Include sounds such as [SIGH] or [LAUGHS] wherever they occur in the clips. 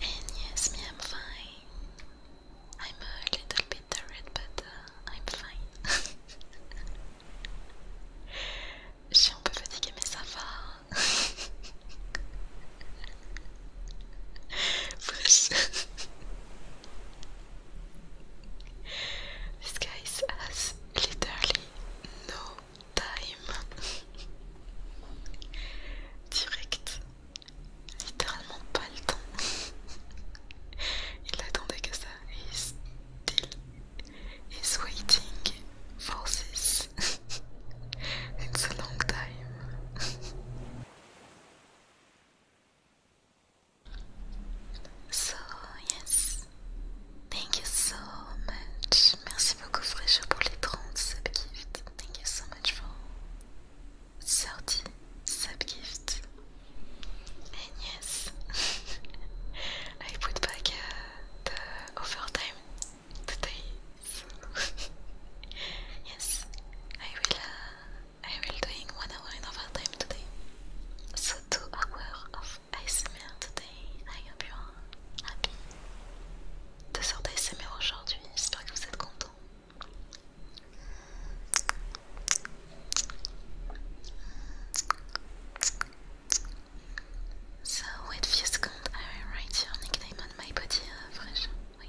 And yes, me, I'm fine. I'm a little bit tired, but uh, I'm fine. [LAUGHS] Je suis un peu fatiguée, mais ça va. Fresh. [LAUGHS] This guy has literally no time direct littéralement pas le temps il attendait que ça et still is waiting for this it's a long time so yes Thank you so much. Merci beaucoup Fréjo pour les 30 subgifts. Thank you so much for 30 subgifts. yes, [LAUGHS] I put back uh, the overtime today. [LAUGHS] yes, I will. Uh, I will doing one hour in overtime today. So two hours of of ASMR today. I hope you are happy. Deux heures d'ASMR aujourd'hui, j'espère que vous êtes content. So, wait few seconds, I write your nickname on my body uh, fresh. Wait.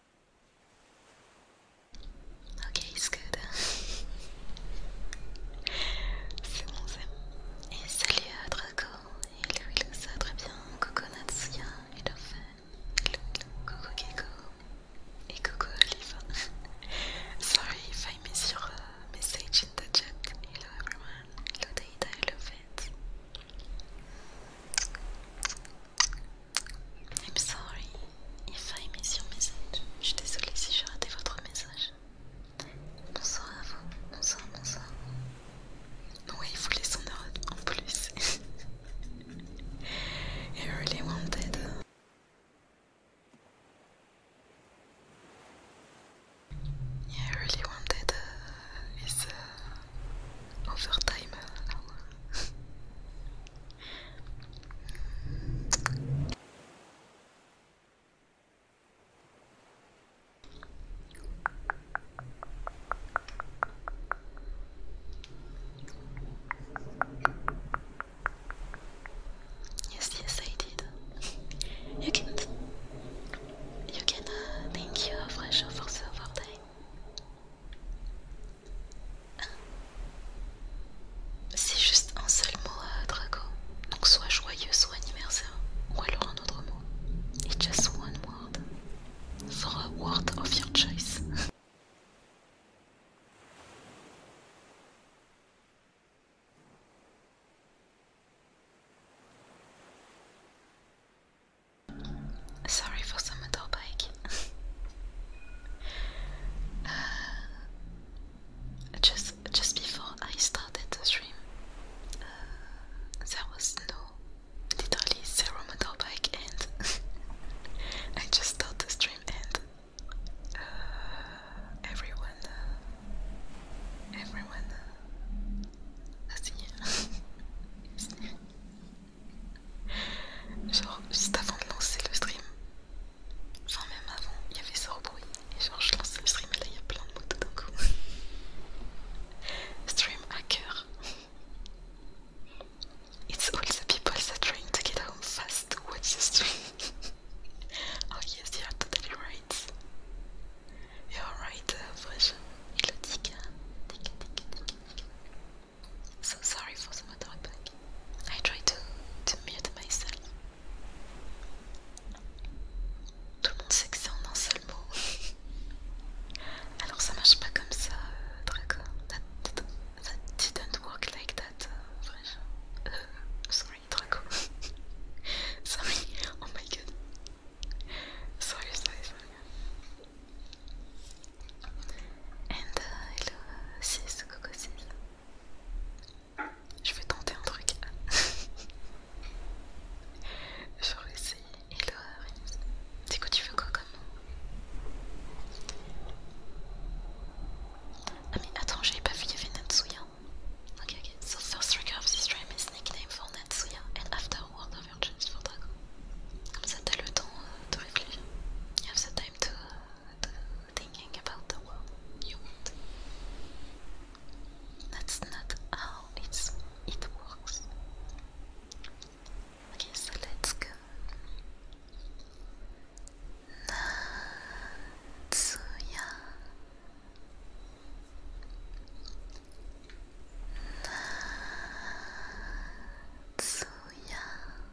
Ok, escuta. [LAUGHS] C'est bon, c'est bon. Et salut à Draco. Hello, hello, ça va très bien. Coco Natsuya, hello fan. Hello, hello. Coco Gecko. Et Coco Olive. [LAUGHS] Sorry if I miss your uh, message in the chat. Hello everyone. Hello Data, hello Fett. I'm sorry if I miss your message. Je suis désolée si j'ai raté votre message. Bonsoir à vous. Bonsoir, bonsoir. Oui, il voulait son ordre en plus. I [LAUGHS] really wanted. Yeah, I really wanted uh, his overtime uh, [LAUGHS] Yes, yes, I did. You can, you can uh, thank you, Fresh, for the overtime. C'est juste un seul mot à euh, donc soit joyeux, soit anniversaire, ou alors un autre mot. It's just one word. For a word of your choice. [LAUGHS] Sorry for the motorbike. [LAUGHS] [SIGHS] just just before I started the stream, uh, there was no literally zero motorbike, and [LAUGHS] I just started the stream and everyone, uh, everyone, uh, uh I [LAUGHS] Genre juste avant de lancer le stream, enfin même avant, il y avait ce bruit et genre je lance le stream et là il y a plein de mots d'un coup. [LAUGHS] stream hacker. It's all the people that are trying to get home fast to watch the stream. [LAUGHS] oh yes, you are totally right. You're right, Elodie. Uh, que. So sorry for the motorbike. I try to, to mute myself. Tout le monde sait que c'est en un seul mot. Alors ça marche pas comme ça, Draco. That, didn't work like that, uh, sorry, Draco. [LAUGHS] sorry, oh my god. Sorry, sorry, sorry. And uh, hello 6, coco 6. Je vais tenter un truc. [LAUGHS] Je vais essayer. Hello Rims. C'est quoi tu veux quoi comme Ah mais attends, j'avais pas vu, il y avait Natsuya. Ok, ok. So first trigger of this stream is nickname for Natsuya and after World of Virgins for Dragon. Comme ça t'as le temps euh, de réfléchir. You have some time to, euh, thinking about the world you That's not how it's, it works. Okay, so let's go. Natsuya. Natsuya.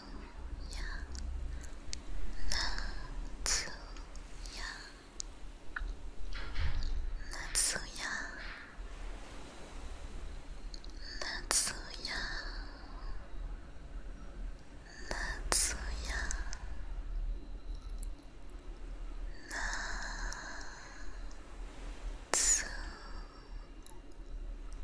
や夏や夏や夏や夏や夏や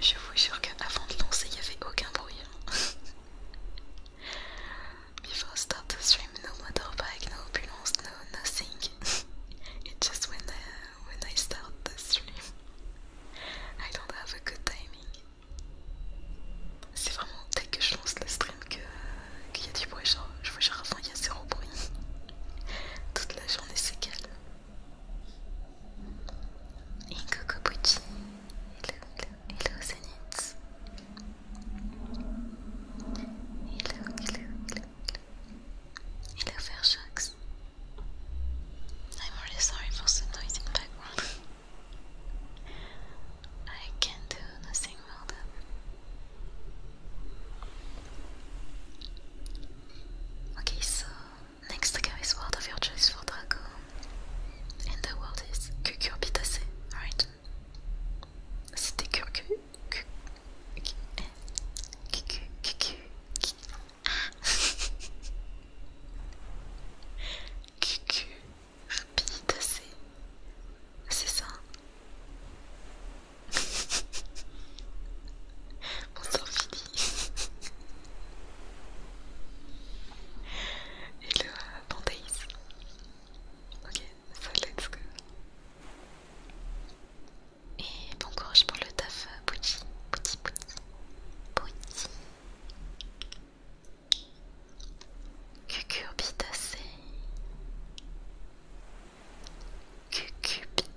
Je vous jure qu'avant de lancer, il n'y avait aucun bruit. Hein. [LAUGHS] Before start the stream, no motorbike, no ambulance, no nothing. [LAUGHS] It's just when I, when I start the stream, I don't have a good timing. C'est vraiment dès que je lance le stream qu'il y a du bruit. Genre, je vous genre avant, il y a zéro bruit. [LAUGHS] Toute la journée, c'est calme. Hello, hello, hello Zenith. Hello, hello, hello, hello. Hello I'm really sorry for the noise in the background. I can do nothing more than. Okay, so Next to Gary's world of your for Draco. And the word is cucurbitacé, right? C'était curcu, cu, cu, cucu, cucu, cu, ah. [LAUGHS] cucurbitacé, c'est ça. Mon [LAUGHS] sang Hello, Panthéis. Ok, ça let's go. Et bon courage pour le taf, euh, Pouti, Pouti, Pouti, Pouti. Cucurbitacé. Cucurbitacé.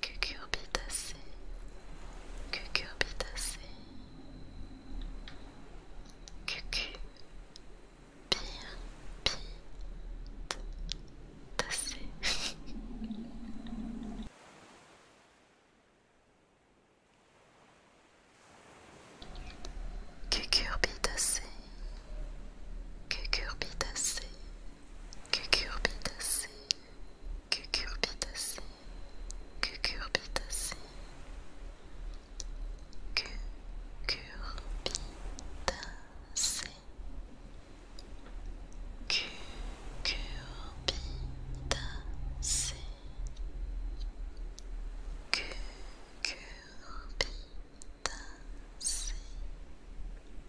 Cucurbitacée, Cucurbitacée, Cucu, Pire, Pite, Tacée cucurbitacées, cucurbitacées, cucurbitacées, cucurbitacées, cucurbitacées, cucurbitacées.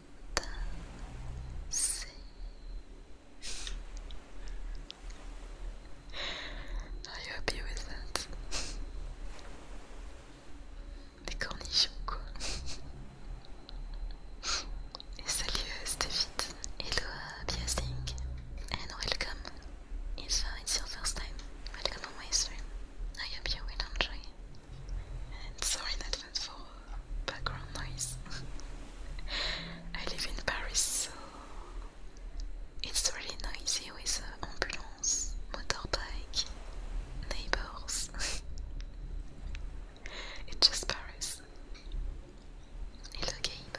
dancing. Are you happy with that? [LAUGHS] Les cornichons quoi [LAUGHS] Et salut Stevit Hello And welcome If uh, it's your first time Welcome on my stream I hope you will And sorry in for background noise. [LAUGHS] I live in Paris, so it's really noisy with uh, ambulance, motorbike, neighbors. [LAUGHS] it's just Paris. Hello, Gabe.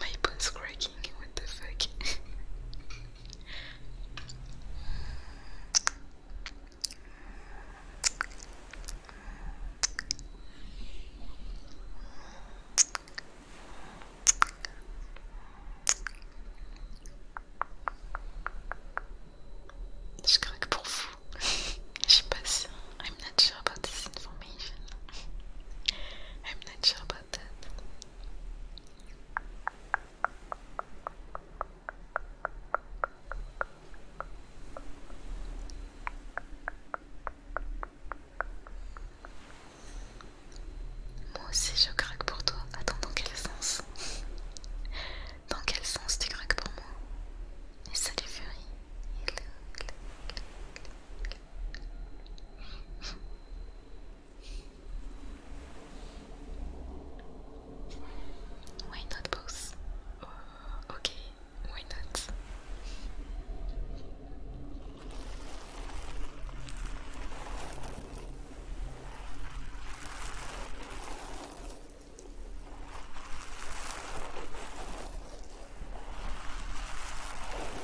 My bone's cracking, what the fuck? Je craque pour vous. I'm not sure about this information. [LAUGHS] I'm not sure about that. Moi aussi je craque pour toi. Attends, dans quel sens Dans quel sens tu craques pour moi Et salut Furry Why not both? Oh, okay, why not?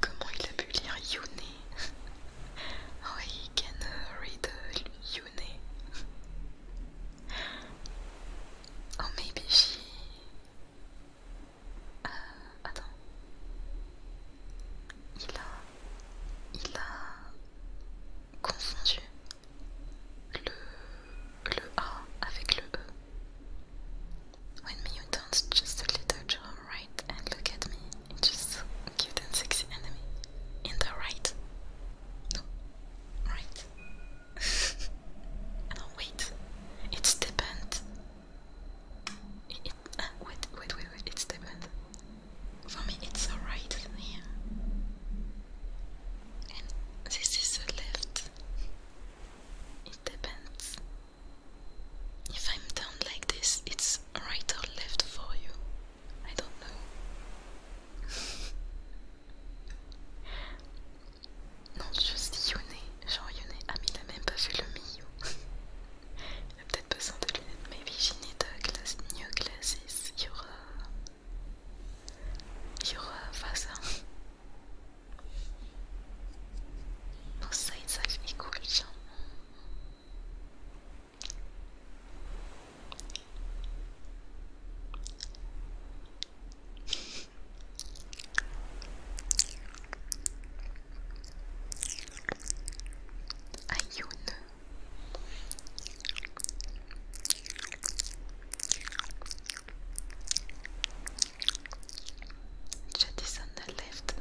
Comment il a pu lire Yune? [LAUGHS] oh, he can uh, read uh, you [LAUGHS] oh, maybe she. Euh, attends. Il a. Il a. confondu le. A avec le E. When you dance just a little drum right and look at me, just cute and sexy enemy. In the right, Right. [LAUGHS] no, wait. It's depend. It, it uh, wait, wait, wait, wait. It's depend. For me, it's alright here. And this is the left. It depends. If I'm down like this, it's right or left for you. I don't know. [LAUGHS] non, je Yoné. Genre Yoné. Ah, mais il a même pas vu le Miyu. il [LAUGHS] a peut-être Maybe she need a glasses. Your, uh, your uh, father. Both sides are equal, Ayun. Jet is on the left,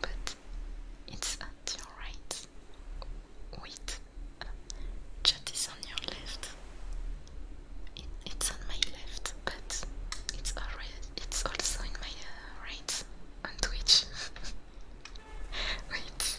but it's at your right. Wait. Chat is on your left. it's on my left, but it's already, it's also in my uh, right on Twitch. [LAUGHS] Wait.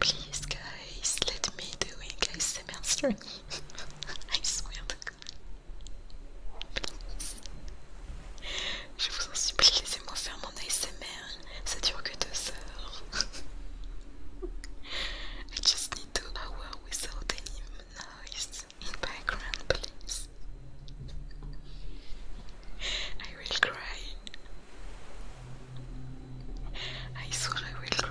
Please, guys, let me do it, guys, semester. I swear to God. Please. Je vous en supplie, laissez-moi faire mon ASMR. Ça dure que deux heures. [LAUGHS] I just need two hours without any noise in background, please. I will cry. I swear I will cry.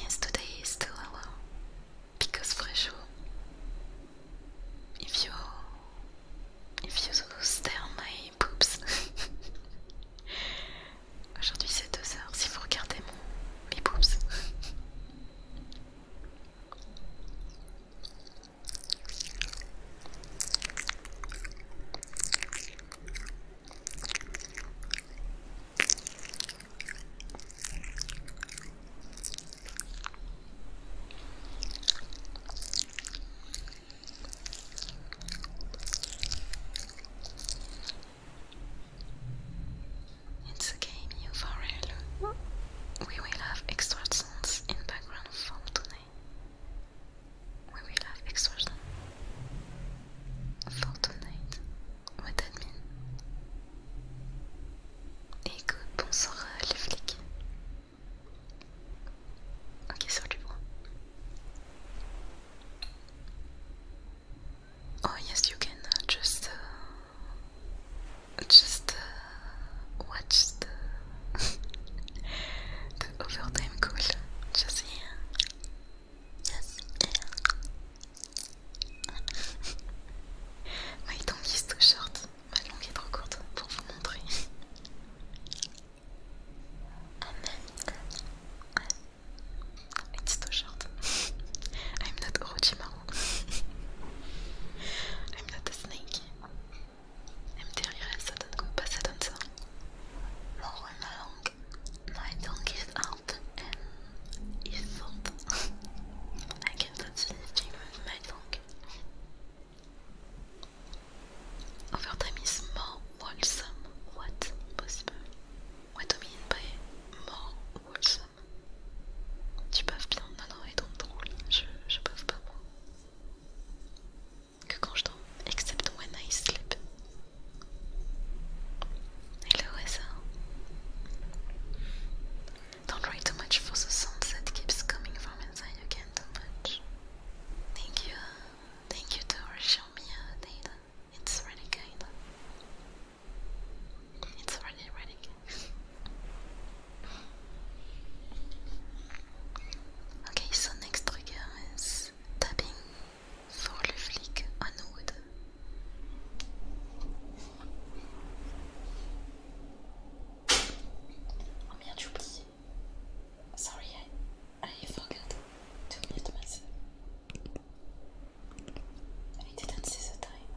Yes, today is still hello because Fresho. If you if you stare on my boobs. [LAUGHS] Aujourd'hui c'est 2 heures si vous regardez mon mes boobs. It's a game you for real. We will have extra sounds in background from today. We will have extra sounds for tonight. What that mean? Écoute, bonsoir euh, les flics. Ok, sur du Oh yes, you can uh, just uh, just uh, watch [LAUGHS] the overtime call. Just here. [LAUGHS] Oui, donc il est trop short, ma langue est trop courte pour vous montrer. est ah, trop short. [LAUGHS] I'm not Orochimaru. [LAUGHS] I'm not a snake. I'm elle ça donne quoi pas bah, ça donne ça. Mort ma langue. I don't get out and it thought [LAUGHS] I can touch anything with my tongue. Over time is more wholesome. What possible? What do you mean by more wholesome? Tu baves bien Non, non, et donc drôle. Je, je bave pas moi. Que quand je dors, except when I sleep. Hello, Essa. Don't worry too much for the sunset keeps coming from inside again too much. Thank you. Thank you to show me uh, It's really good. It's really, really okay, so next trigger is tapping Voor le flic Hanwood. Oh merde, j'ai oublié. Sorry, I, I forgot to mute myself. I didn't see the time.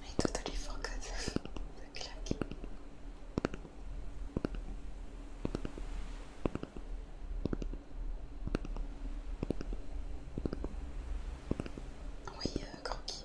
I totally claque. Oui, euh, croquis.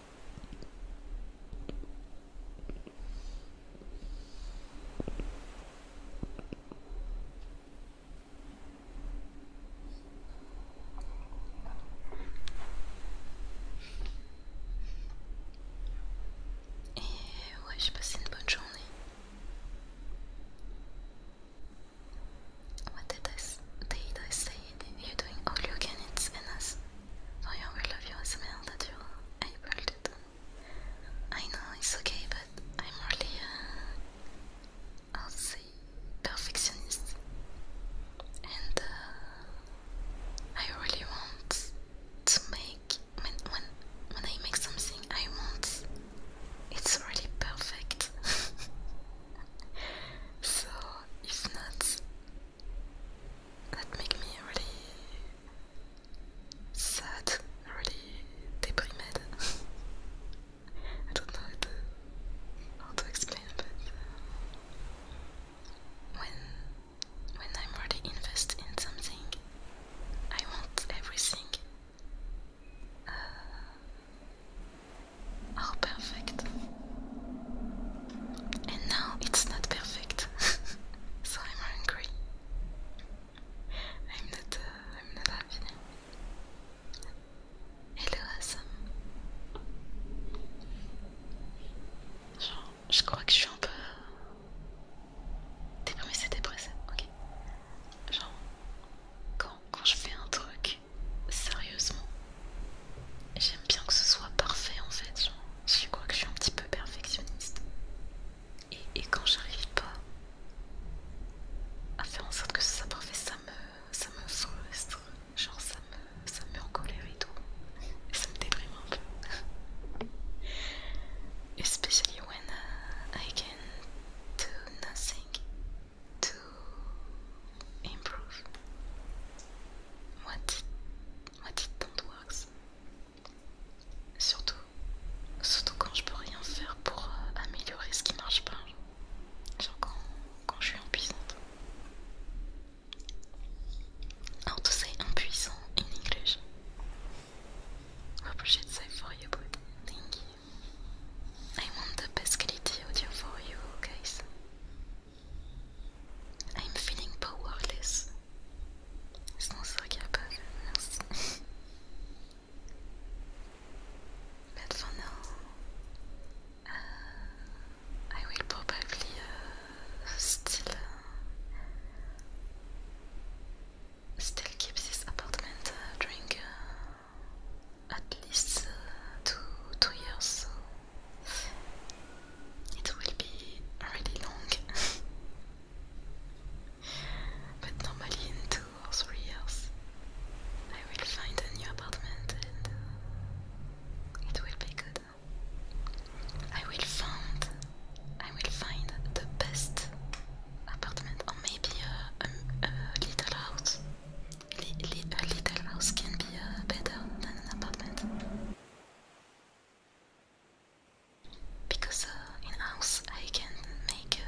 Et ouais, j'ai passé une bonne journée. What did I, did I you're doing all you can, it's in us. So love your smell that you're able to I know it's okay, but I'm really, uh, perfectionist. And uh, I really want to make, when, when, when I make something I want, it's really perfect. [LAUGHS] so if not, that makes me really sad, really deprimed. [LAUGHS] I don't know how to, explain, but uh, when when I'm really invested in something, I want everything uh, perfect. And now it's not perfect, [LAUGHS] so I'm angry. I'm not. Uh, I'm not happy. Hello, Assam. Genre, je crois que je suis un peu déprimée, c'est dépressé, ok. Genre, quand je fais un truc sérieusement, J'aime bien que ce soit parfait en fait. je crois que je suis un petit peu perfectionniste. Et, quand j'arrive pas à faire en sorte que ce soit parfait, ça me, ça me frustre. Genre, ça me, ça met en colère et tout. ça me déprime un peu. Especially when uh, I can do nothing to improve. Moi, dis-donc, dis ton doigt Surtout, surtout quand je peux rien faire pour euh, améliorer ce qui marche pas. Genre quand, quand je suis impuissante. How to say impuissant in English? I say for you, but thank you. I want the best quality audio for you guys. I'm feeling powerless. Sans se capable, merci. but for now, uh, I will probably uh, still, uh, still keep this apartment during at least two, two years. It will be really long. [LAUGHS] but normally in two or three years I will find a new apartment and uh, it will be good. I will find I will find the best apartment or maybe a, little house. a little house can be uh, better than an apartment. because uh, in house I can make uh,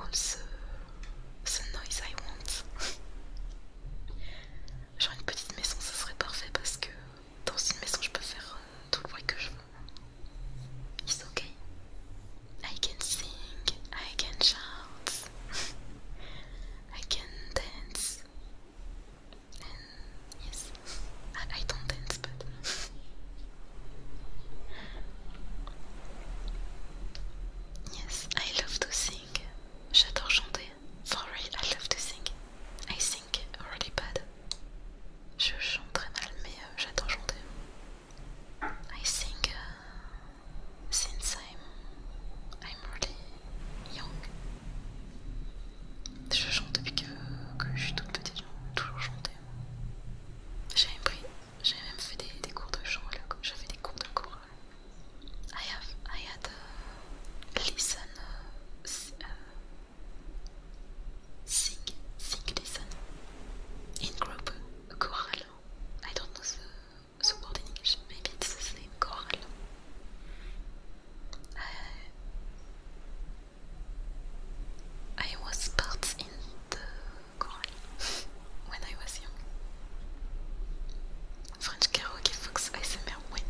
all the, the noise I want. [LAUGHS] Genre une petite maison, ça serait parfait parce que dans une maison, je peux faire euh, tout le bruit que je veux. It's okay. I can sing, I can shout, [LAUGHS] I can dance. And yes, I, I don't dance, but yes, I love to sing. J'adore chanter. For real, I love to sing. I sing really bad. Je chante très mal, mais euh, j'adore chanter. I sing euh, since I'm I'm really young. Je chante depuis que, je suis toute petite, j'ai toujours chanté. J'ai même pris, j'ai même fait des, cours de chant, j'avais des cours de chorale. I have, I had euh, listen, uh, sing, sing, listen, in group, euh, chorale. I don't know the, the word in English, maybe it's the same, chorale. I, I was part in the choir when I was young. French karaoke me ASMR win.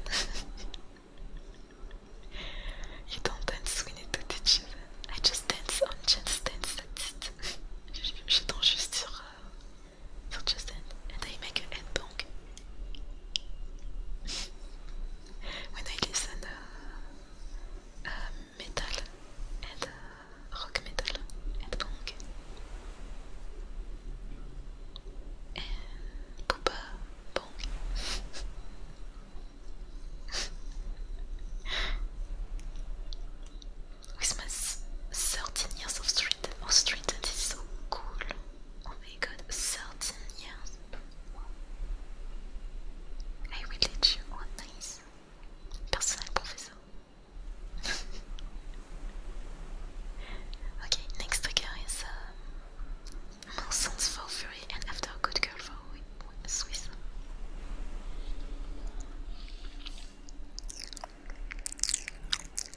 you don't dance, we need to teach you I just dance I just dance, that's [LAUGHS] it. Je, je danse juste sur, euh, He'll just end, and I make [LAUGHS] a head when I listen metal and rock metal and punk and booba punk. [LAUGHS] With my 13 years of street, of street, that is so cool. Oh my god, 13 years. I will let you one nice personal professor. [LAUGHS] okay, next trigger is uh, Nonsense Fury and After Good Girl for Swiss.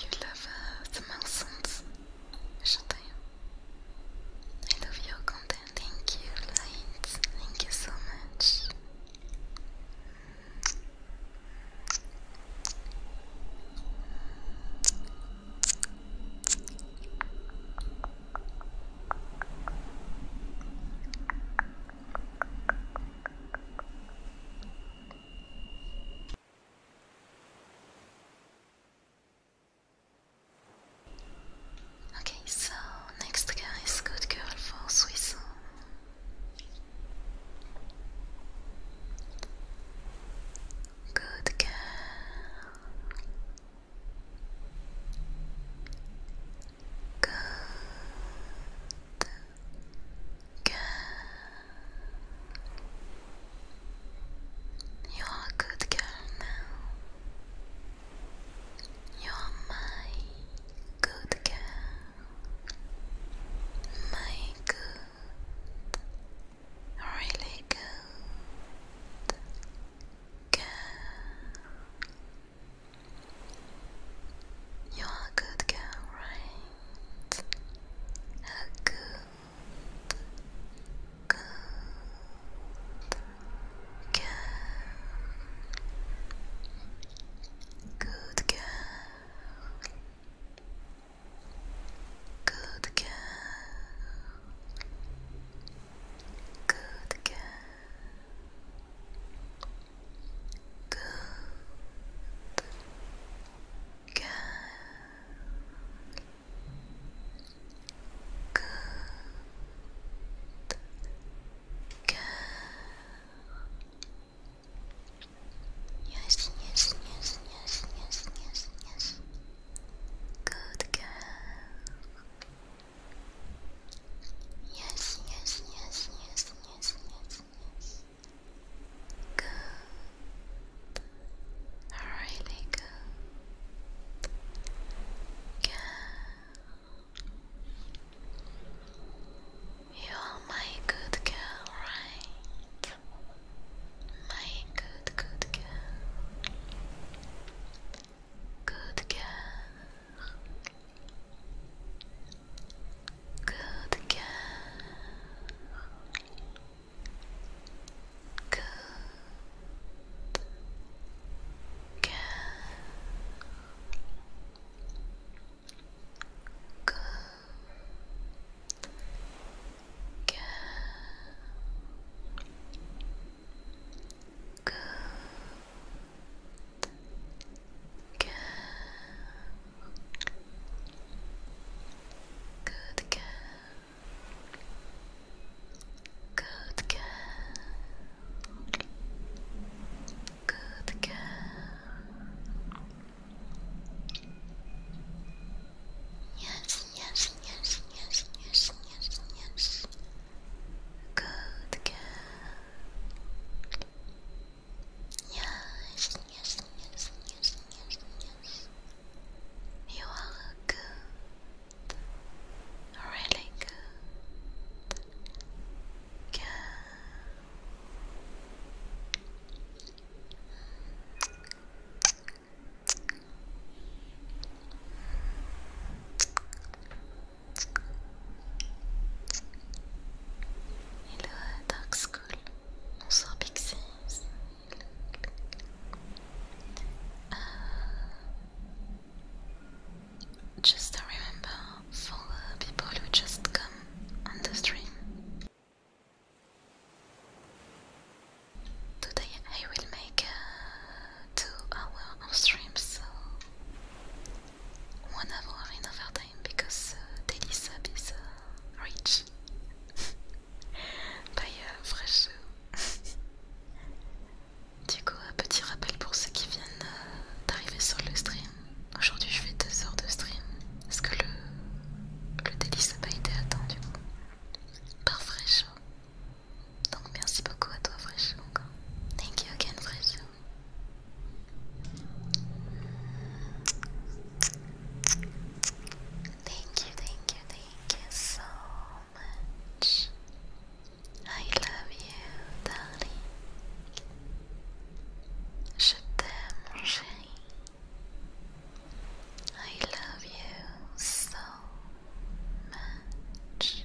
You love uh, the mountains, Shantaya. I love your content. Thank you, Light. Thank you so much. Okay, so next guy is good girl for Swiss. Good girl. Good. Good. You're a good girl now. You're my good girl. My good. Really good. Girl. You are a good girl, right? A good, girl. Good girl. Good girl. Good girl. Good girl. Good girl. Yes, yes, yes, yes, yes, yes, yes. Good girl. Yes, yes, yes, yes, yes, yes, Good. Really good. Good. You are my good girl, right? My good, good girl. Good girl. Good girl. Good girl. Good girl. Good. Good. Good girl. Good girl. Good girl. Yes, yes, yes, yes, yes, yes, yes. Good girl. Yes, yes, yes, yes, yes, yes. You are good. Really good. Good. Good. Hello, Dark School. Bonsoir, Pixies. Uh, just remember for people who just come on the stream. Today I will make to our stream, so one hour in overtime because uh, daily sub is uh, rich by [LAUGHS] uh, [LAUGHS] du coup, un petit rappel pour ceux qui viennent euh, d'arriver sur le stream. Aujourd'hui, je fais deux heures de stream ce que le, le daily sub a été attendu par Fresh. Hein. Thank you again, Freshunga. Thank you, thank you so much. I love you, darling. Je t'aime, mon chéri. I love you so much.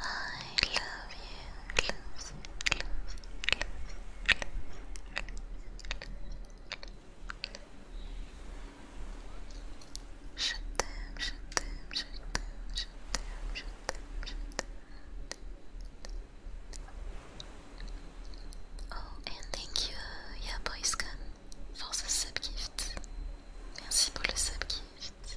I love you, Shut them, shut them, shut them, shut them, Oh, and thank you, yeah, boy scan. for the subgift. Merci pour le subgift.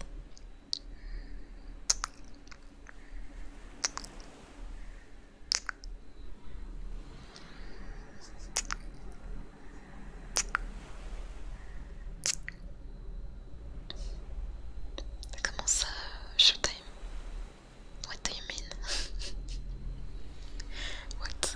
Comment ça, t'aime [LAUGHS] What do you mean? What?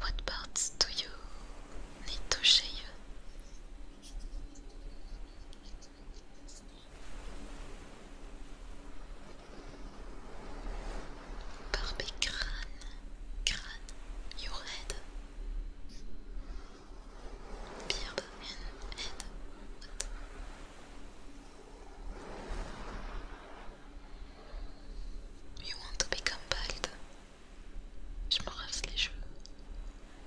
What parts do you need to shave? Barbie crâne, crâne, your head, beard and head. What? You want to become bald? Je m'en les jeux.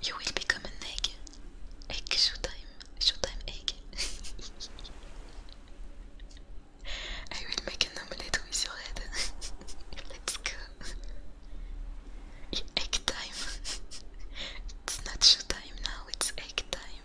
You will become an egg. Egg showtime. Showtime egg. [LAUGHS] I will make an omelette with your head. [LAUGHS] Let's go. Egg time. [LAUGHS] it's not showtime now, it's egg time.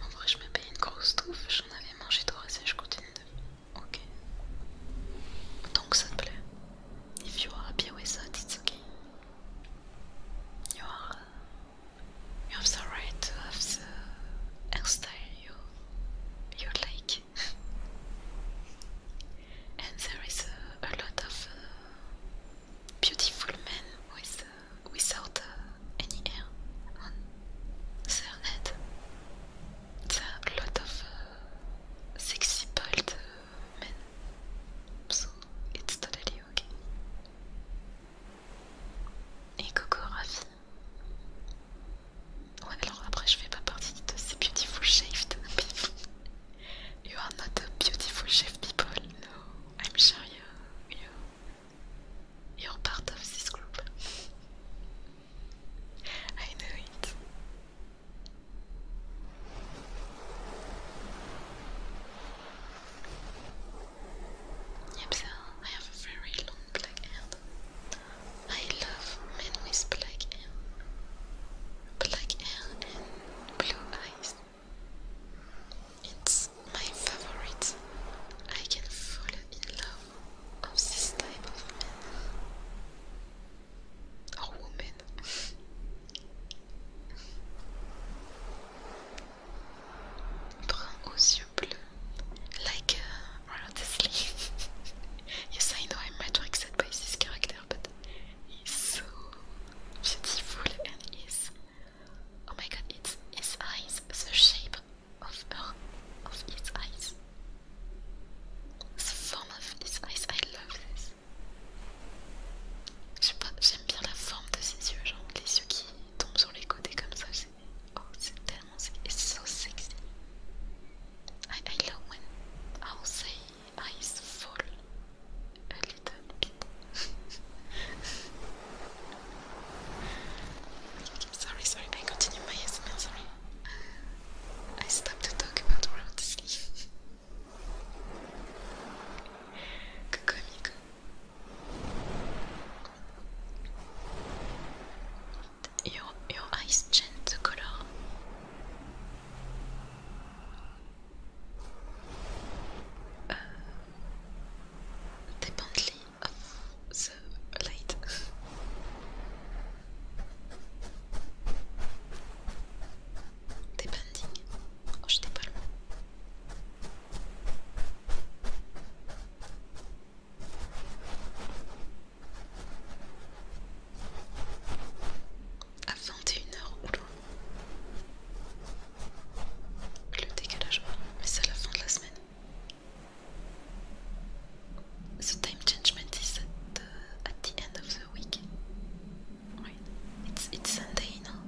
En vrai, je me paye une grosse touffe, j'en avais mangé trois et je continue de. Ok. Donc ça te plaît? If you are happy with that, it's okay. You have the right to have the hairstyle you, you like. and there is a lot of uh, beautiful men with, uh, without uh, any hair on their head. There are a lot of sexy bald men, so it's totally okay. Et Coco Rafi. Ouais, alors après, je fais pas partie de ces beautiful shaved people. You are not a beautiful shaved people, no. I'm sure you, you, you're part of this group. [LAUGHS] I know it. Yep, I have a very long black hair. I love men with black hair. Black hair and blue eyes. It's my favorite. I can fall in love of this type of man. Or woman. Brun aux yeux Like uh, honestly, [LAUGHS] yes, he's so beautiful oh my god, it's his eyes, the shape of of his eyes, the form of his eyes. I love this. J'aime bien la forme de ses yeux, genre les yeux qui tombent sur les côtés comme ça. C'est oh, tellement it's so sexy. I, I love when I'll say eyes fall a little bit. [LAUGHS] sorry, sorry, I continue my ASMR, sorry. I stopped to talk about round sleep. [LAUGHS] Какая Your, your eyes change the color. Uh, of the light. Des bandings. Oh, j'étais pas loin. À 21h, oula. Le décalage, mais c'est la fin de la semaine. The time changement de temps est uh, at the end of the week. Oui, It's, it's Sunday, non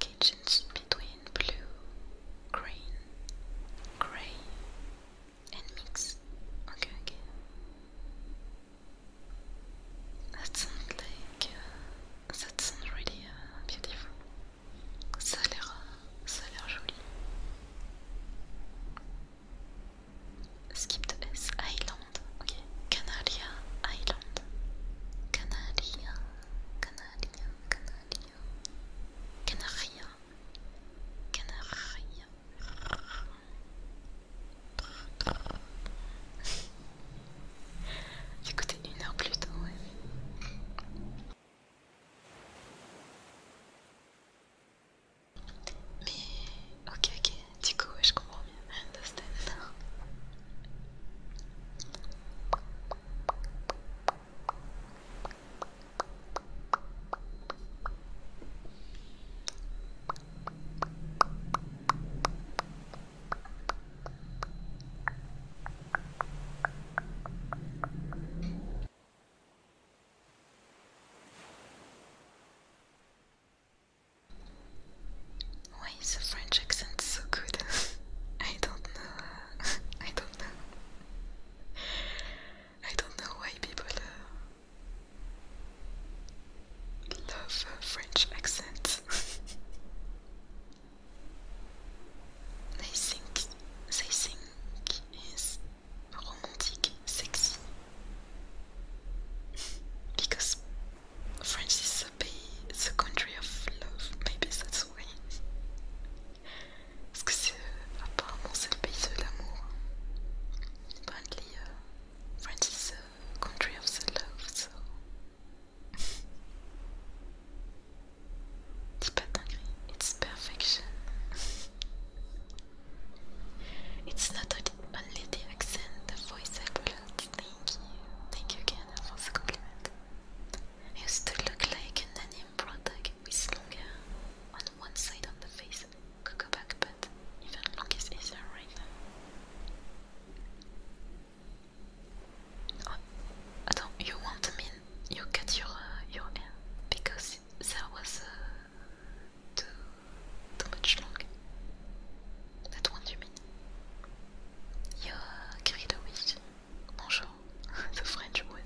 kitchens between blue, green, grey, and mix. Okay, okay. That sounds like uh, that sounds really uh, beautiful. Ça a l'air, uh, ça a l'air joli. Skip the S Island. Okay, Canaria Island. Canaria, Canaria, Canaria. Canaria, Canaria. coûté une heure plus tôt, ouais. Mais ok, ok, du coup, je comprends bien. Understand. Why is the French accent so good? [LAUGHS] I don't know [LAUGHS] I don't know. I don't know why people uh, love uh, French accents. [LAUGHS] they think they think is romantic, sexy. [LAUGHS] Because France is a country of love, maybe that's why. Parce que c'est euh, apparemment c'est le pays de l'amour. Euh, euh, love, so. [LAUGHS] Dis pas dinguerie, it's perfection. [LAUGHS] it's not only the accent, the voice I brought. Thank you, thank you again for the compliment used to look like an anime product with longer on one side of the face. go back, but even look is easier right now. Oh, attends, you want to mean you cut your uh, your hair because there was uh, too too much long. That one you mean? You uh, Bonjour, [LAUGHS] the French One.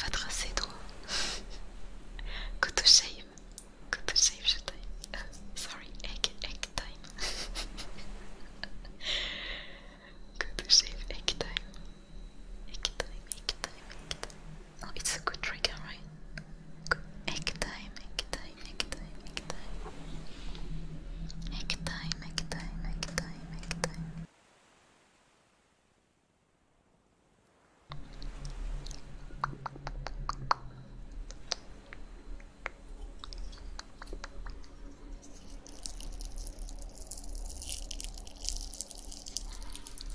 Va tracer toi. Go [LAUGHS] to shave. Go to shave, je [LAUGHS] Sorry, egg, egg time. Go to shave egg time. Egg time, egg time, egg time. Oh, it's a good trigger, right? Egg time, egg time. time, make time, make time. Make time, make time, make time,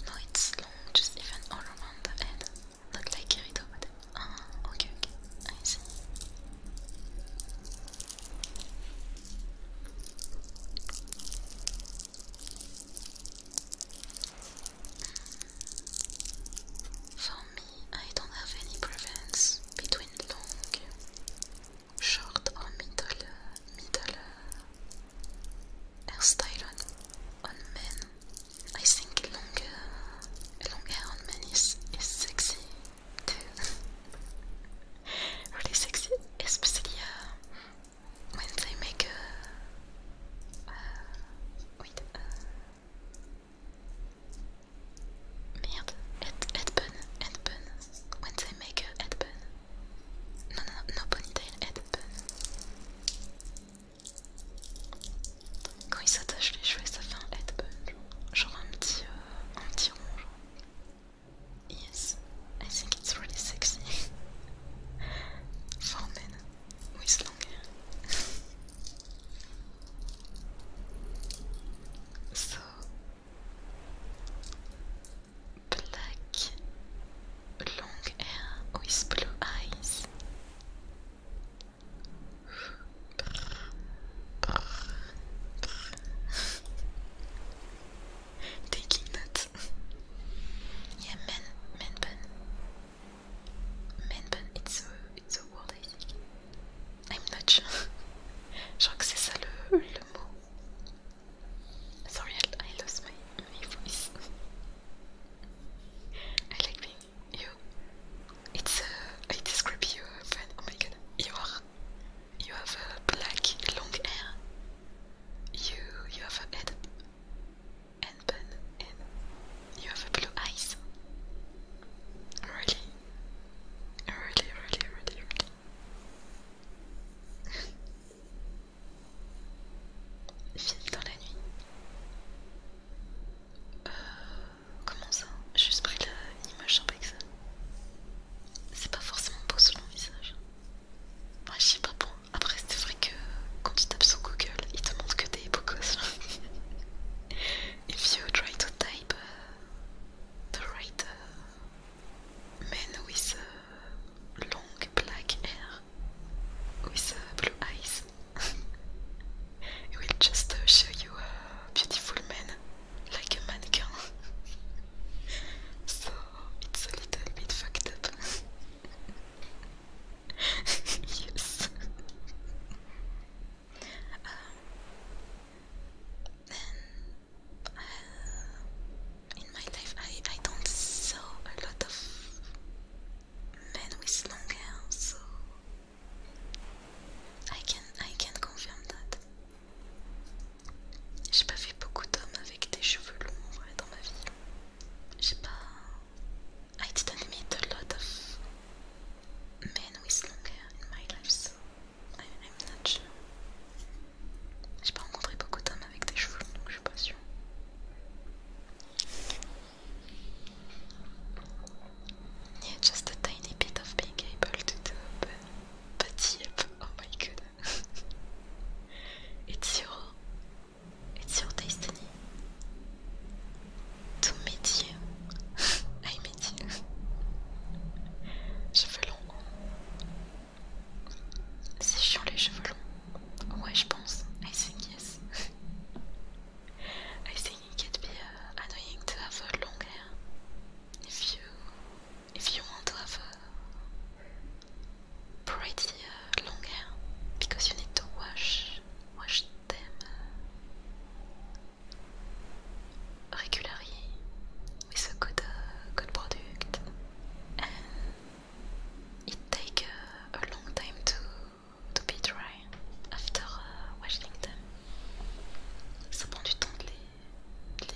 No, it's long, just even all the head. Not like Kirito, but... Ah, I don't have any preference between long, short or middle, middle hairstyle on men I think long, longer long hair on men is, sexy too. [LAUGHS] really sexy, especially uh, when they make a. Uh, wait. Uh, merde, head, headbun, headbun. When they make a headbun. No, no, no, no ponytail, headbun. Quand ils s'attachent les cheveux, ça fait un headbone genre un petit, rond. Euh, un petit Yes, I think it's really sexy. [LAUGHS] For men with long hair. [LAUGHS] so black long hair with blue eyes. Taking notes. yeah, man, man bun. Man bun, it's a, it's a word I am not sure. [LAUGHS] Je crois que c'est ça I, lost my, voice. [LAUGHS] I like being you. It's uh, it is you friend. Oh my god, you are. You have a black long hair. You you have a head and bun you have a blue eyes. Really, really, really, really, really. Vive [LAUGHS] dans la Comment ça Juste pris l'image avec ça. C'est pas forcément beau sur mon visage. Ouais, je sais pas bon. Après, c'est vrai que quand tu tapes sur Google, il te montre que des beaux gosses. [LAUGHS] If you try to type uh, the writer, uh, with long black hair with uh, blue eyes, [LAUGHS] it will just show you a beautiful man, like a mannequin. [LAUGHS] so it's a little bit fucked up. [LAUGHS] yes. um, uh, in my life, I, I don't saw a lot of men with long hair, so I can, I can confirm that. J'ai pas vu beaucoup d'hommes avec des cheveux longs vrai dans ma vie. J'ai pas. I didn't meet a lot of men with long hair in my life, so I, I'm not sure. J'ai pas rencontré beaucoup d'hommes avec des cheveux longs, je suis pas sûre. Yeah, just a tiny bit of being able to do, but, but yep, oh my god. [LAUGHS] it's your, it's your destiny to meet you. [LAUGHS] I meet you. [LAUGHS] Cheveux longs. C'est chiant les cheveux longs. Ouais, je pense. I think yes. I think it would be uh, annoying to have uh, long hair if you if you want to have uh, pretty long hair because you need to wash wash them uh, regularly with a good uh, good product and it takes a long time to to be dry after uh, washing them. Ça prend du temps de les, de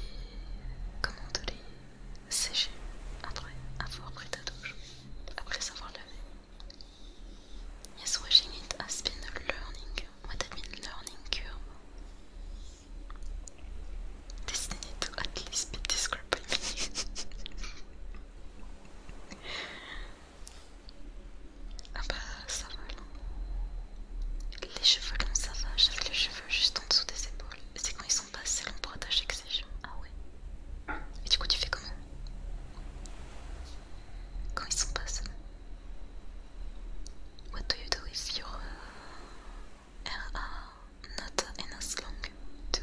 comment, sécher après avoir pris ta douche, après savoir lavé Yes, washing it has been learning, what have been learning curve. need to at least be described [LAUGHS] Ah bah ça va Les cheveux longs ça va, j'avais les cheveux juste en dessous des épaules. C'est quand ils sont pas assez longs pour attacher que ces cheveux Ah ouais. Et du coup tu fais comment Quand ils sont pas assez longs. What do you do if your uh, hair are not enough long to...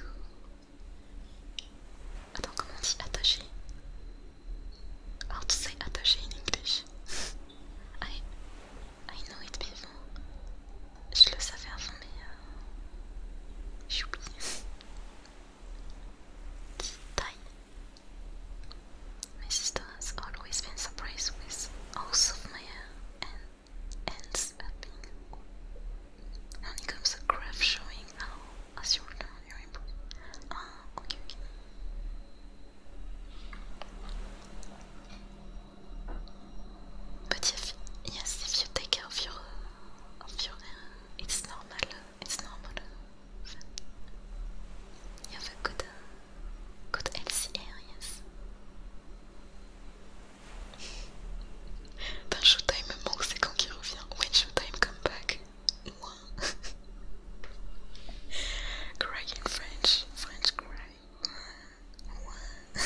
Attends comment on dit attaché I How to say attaché in English? [LAUGHS] I, I know it before. Je le savais avant, mais euh, j'ai oublié. My sister has always been surprised with house of my hair uh, and ends up being. Honeycomb's a graph showing how Ah si on l'a, il y Ah ok ok. But if, yes, if you take care of your, of your hair, it's normal, it's normal. You have a good, good healthy hair, yes. Dans ben, Showtime me manque, c'est quand il revient. When Showtime come back. cry in French, French cry. [LAUGHS]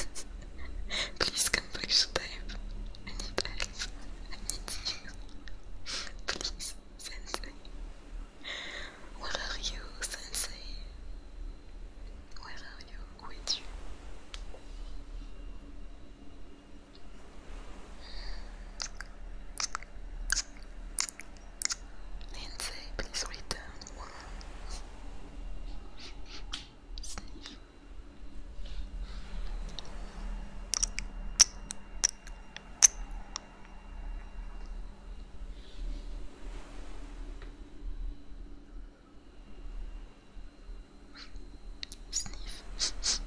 Please come back to life. I need help. I need you. Please, Sensei. Where are you, Sensei? Where are you? Who is you? Lindsay, please return one. Sniff. Sniff.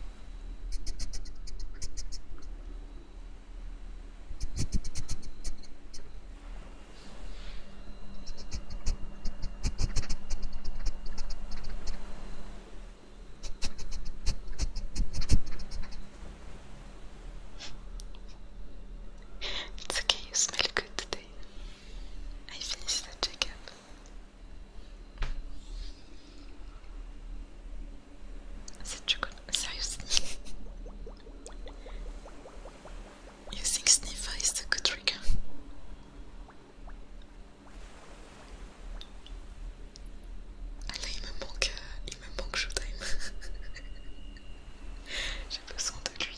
It's okay, you smell good today. I finished the checkup. Such a good. Seriously. you think sniffer is a good trigger? Ah là, me manque, euh, me manque Showtime. [LAUGHS] J'ai besoin de lui.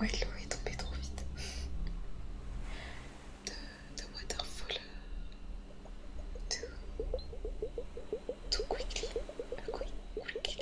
Ouais, l'eau est tombée trop vite de, de Waterfall tout, euh, tout quickly, quick,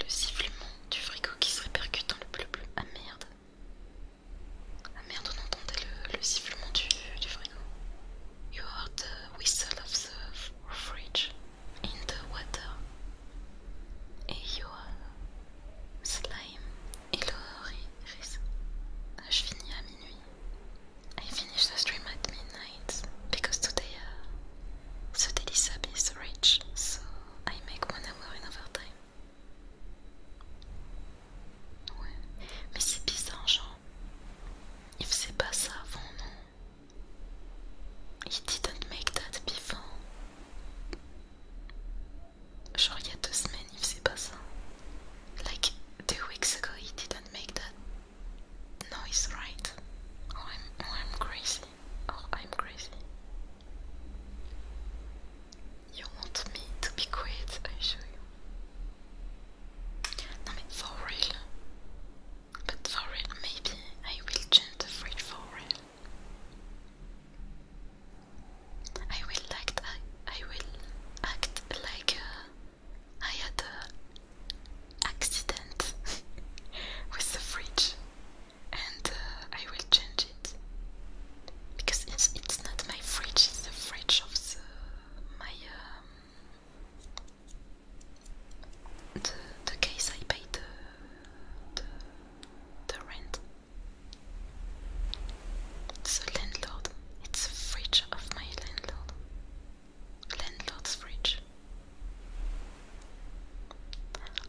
Le sifflement du frigo qui se répercute dans le bleu bleu. Ah merde. Ah merde, on entendait le, sifflement du, frigo. You heard the whistle of the fridge in the water. Et you, are Slime, hello Riz. Je finis à minuit. I finish the stream at midnight because today uh, the daily sub is rich, so I make one hour overtime. Ouais, mais c'est bizarre, genre. Il faisait pas ça avant, non? He didn't make that before. Genre il two weeks ago he didn't make that noise right. Oh, oh I'm, crazy. Oh I'm crazy. You want me to be quiet, I show you. No mais for real. But for real, maybe I will change the phrase for real. I will act. I, will act like uh, I had an accident [LAUGHS] with the fridge, and uh, I will change it because it's it's not my fridge. It's the fridge of the my um, the the case I paid uh, the, the rent. It's a landlord. It's a fridge of my landlord. Landlord's fridge.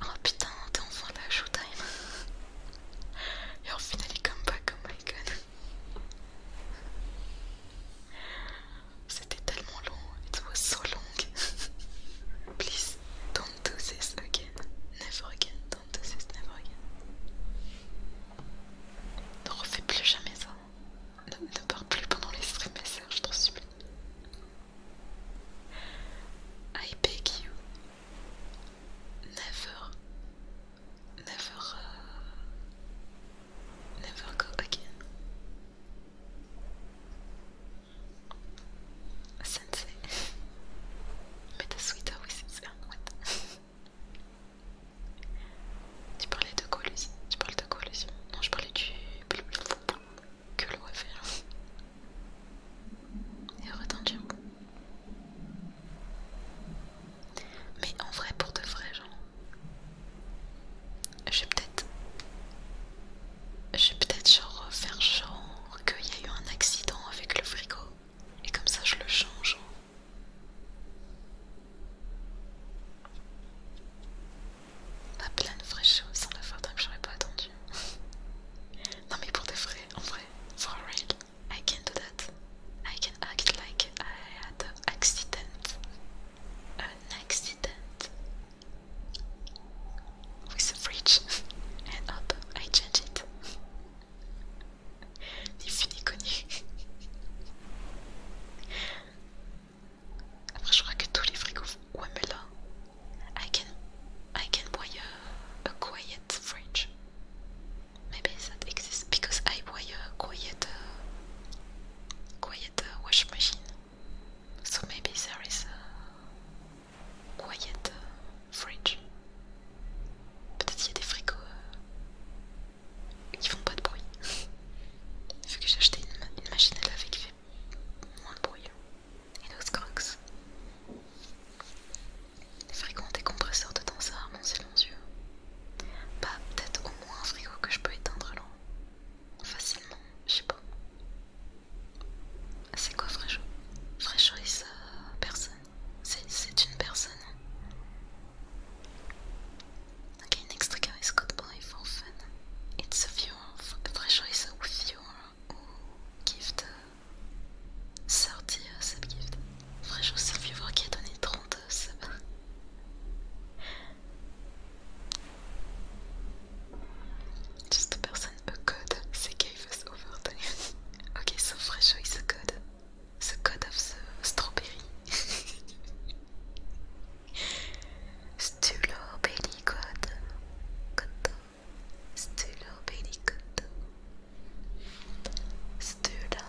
Oh putain, t'es enfin là, showtime. Your finally come back, oh my god. C'était tellement long. It was so long. Please, do Don't do this again. Never again. Don't do this. Never again. Ne refais plus jamais ça. Ne, parle pars plus pendant les streams, sœurs, je t'en supplie. I beg you. Never. Never. Euh, never go again. Sensei. Mais t'as sweater ta his [LAUGHS] Tu parlais de collusion Tu parles de quoi, Non, je parlais du. que le refaire. Et retendu. Mais en vrai, pour de vrai, genre. Je vais peut-être. Je vais peut-être genre faire genre qu'il y a eu un accident avec le frigo et comme ça je le change. Pas plein de vraies choses sans la fois j'aurais pas attendu. [LAUGHS] non mais pour des vrai, en vrai, for real, I can do that. I can act like I had an accident. An accident. with the fridge [LAUGHS] and up I change it. [LAUGHS] Ni fu ni connu. Après je crois que tous les frigos font I can I can buy a, quiet fridge. Maybe that exists because I buy a quiet uh, quiet uh, machine. So maybe there is Quiet euh, fridge. Peut-être qu'il y a des frigos euh, qui font pas de bruit. [LAUGHS] Vu que j'ai acheté une, machine à laver qui fait moins de bruit. Hein. nos scorks Les frigos ont des compresseurs de ça a c'est Pas Bah, peut-être au moins un frigo que je peux éteindre là. Facilement, je sais pas. C'est quoi Fréjo Fréjo est personne. C'est une personne. Okay, next is called Fun. It's a view, Fréjo is a ou oh, gift. Sortie gift. Fréjo c'est un qui a donné 30 Juste Just personne person, C'est qui [LAUGHS] a Okay, so Fresho is a god. The god of the strawberry. Stulo belly god. Koto. Stulo belly koto. Stulo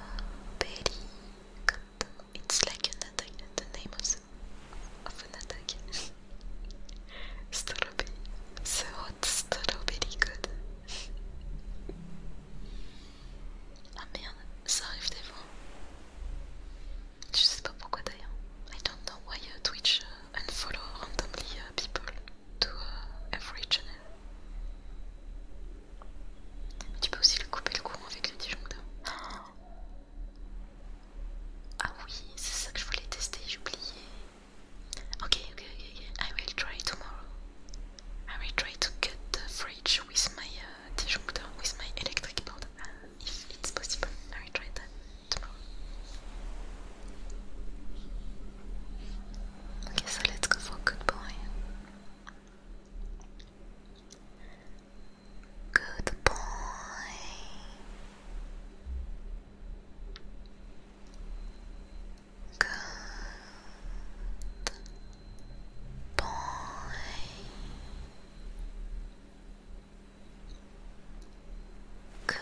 belly koto. It's like an attack, the name [LAUGHS] strawberry. The hot strawberry god. Ah merde, ça arrive des fois. Je sais pas pourquoi d'ailleurs. I don't know why uh, Twitch uh, unfollow randomly uh, people to uh, every channel. tu peux aussi le couper le courant avec le disjoncteur. Ah oui, c'est ça que je voulais tester, j'ai oublié. Okay, okay, okay, I will try tomorrow. I will try to cut the fridge with my uh, with my electric board, uh, if it's possible. I will try that tomorrow. Okay, so let's go for good boy. Good boy. Good boy. Good boy.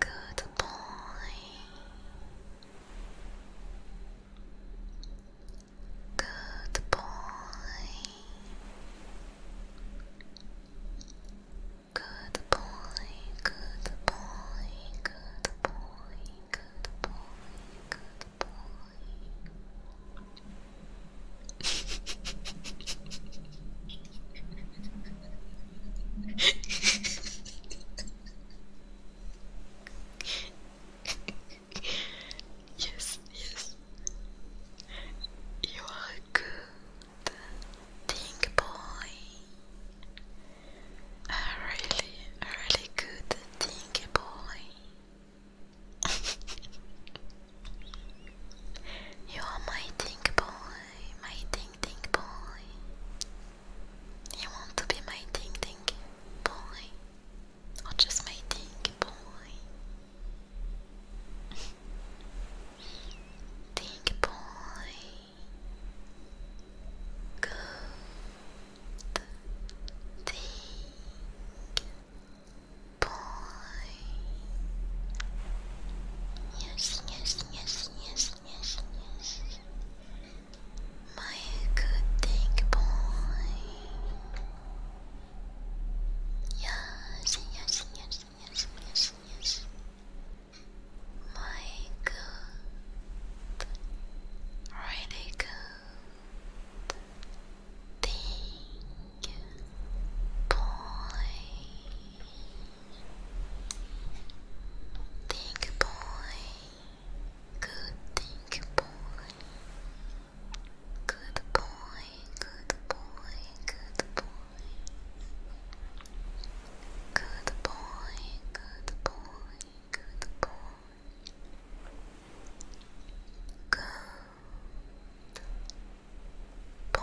Good boy. Good boy. Good boy, good boy, good boy, good boy, [LAUGHS] [LAUGHS] yes, yes. You are a good thing, boy. A really, really good thing, boy. [LAUGHS] you are my thing, boy. My thing, thing, boy. You want to be my thing, thing, boy i just made think boy. think boy. Good. Think boy. Yes, yes, yes, yes, yes, yes. My good thing boy. Yes, yes, yes, yes, yes, yes. My good, really good thing boy. Think boy. Good, thank you, boy. Good boy, good boy, good boy. Good boy, good boy, good boy. Good boy. Good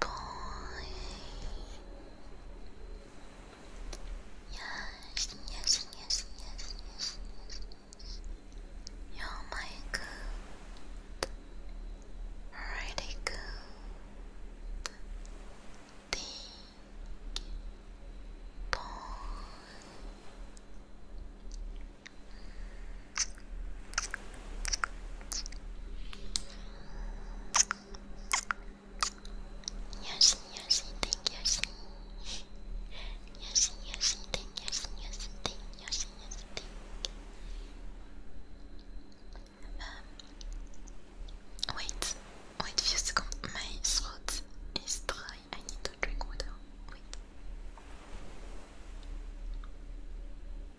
boy. Yes, yes, yes, yes, yes, You're my good, really good, big boy. Yoshi, Yoshi, thank Yoshi. Yoshi, Yoshi, thank Yoshi, Yoshi, thank Yoshi, Yoshi, thank. Um, wait, wait few seconds. My throat is dry. I need to drink water. Wait.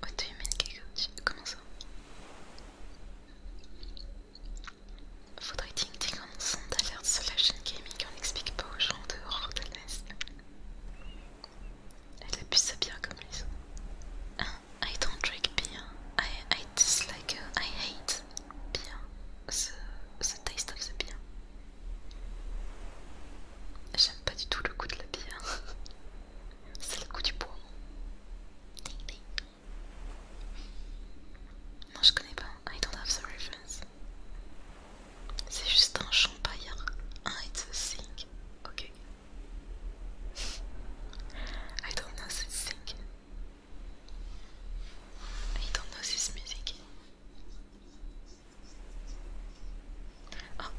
What do you mean, Comment ça Faudrait ting ting un son d'alerte sur la chaîne gaming, qu'on n'explique pas aux gens de Rotalness. Elle abuse ça bien comme les hein? I don't drink beer. I, dislike, I hate beer. The, the taste of the beer. J'aime pas du tout le goût de la bière. [LAUGHS] C'est le goût du bois. Ding ding. Non, je connais pas. I don't have the reference. C'est juste un champagne. Un it's a sink. Ok. I don't know this sink. I don't know this music. Oh, ah.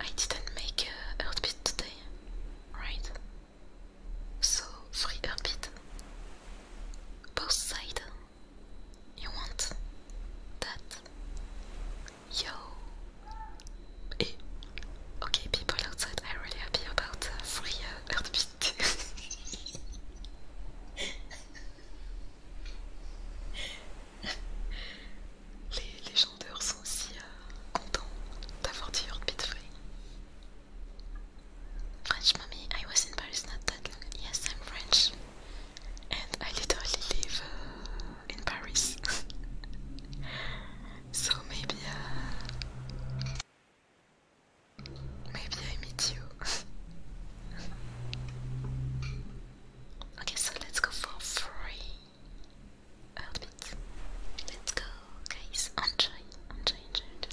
I didn't make a heartbeat today. right? So free heartbeat. Both sides. You want that? Yo. Hey. Eh. Okay, people outside are really happy about uh, free uh, [LAUGHS] les, légendaires sont aussi euh, contents d'avoir dit Heartbeat Free. French mommy, I was in Paris not that long. Yes, I'm French. And I literally live uh, in Paris. [LAUGHS] so maybe uh, maybe I meet you. [LAUGHS] okay, so let's go for free. outfits. Oh, let's go, guys. Enjoy, enjoy, enjoy, enjoy.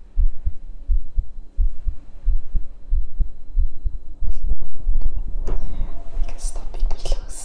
I can stop being close.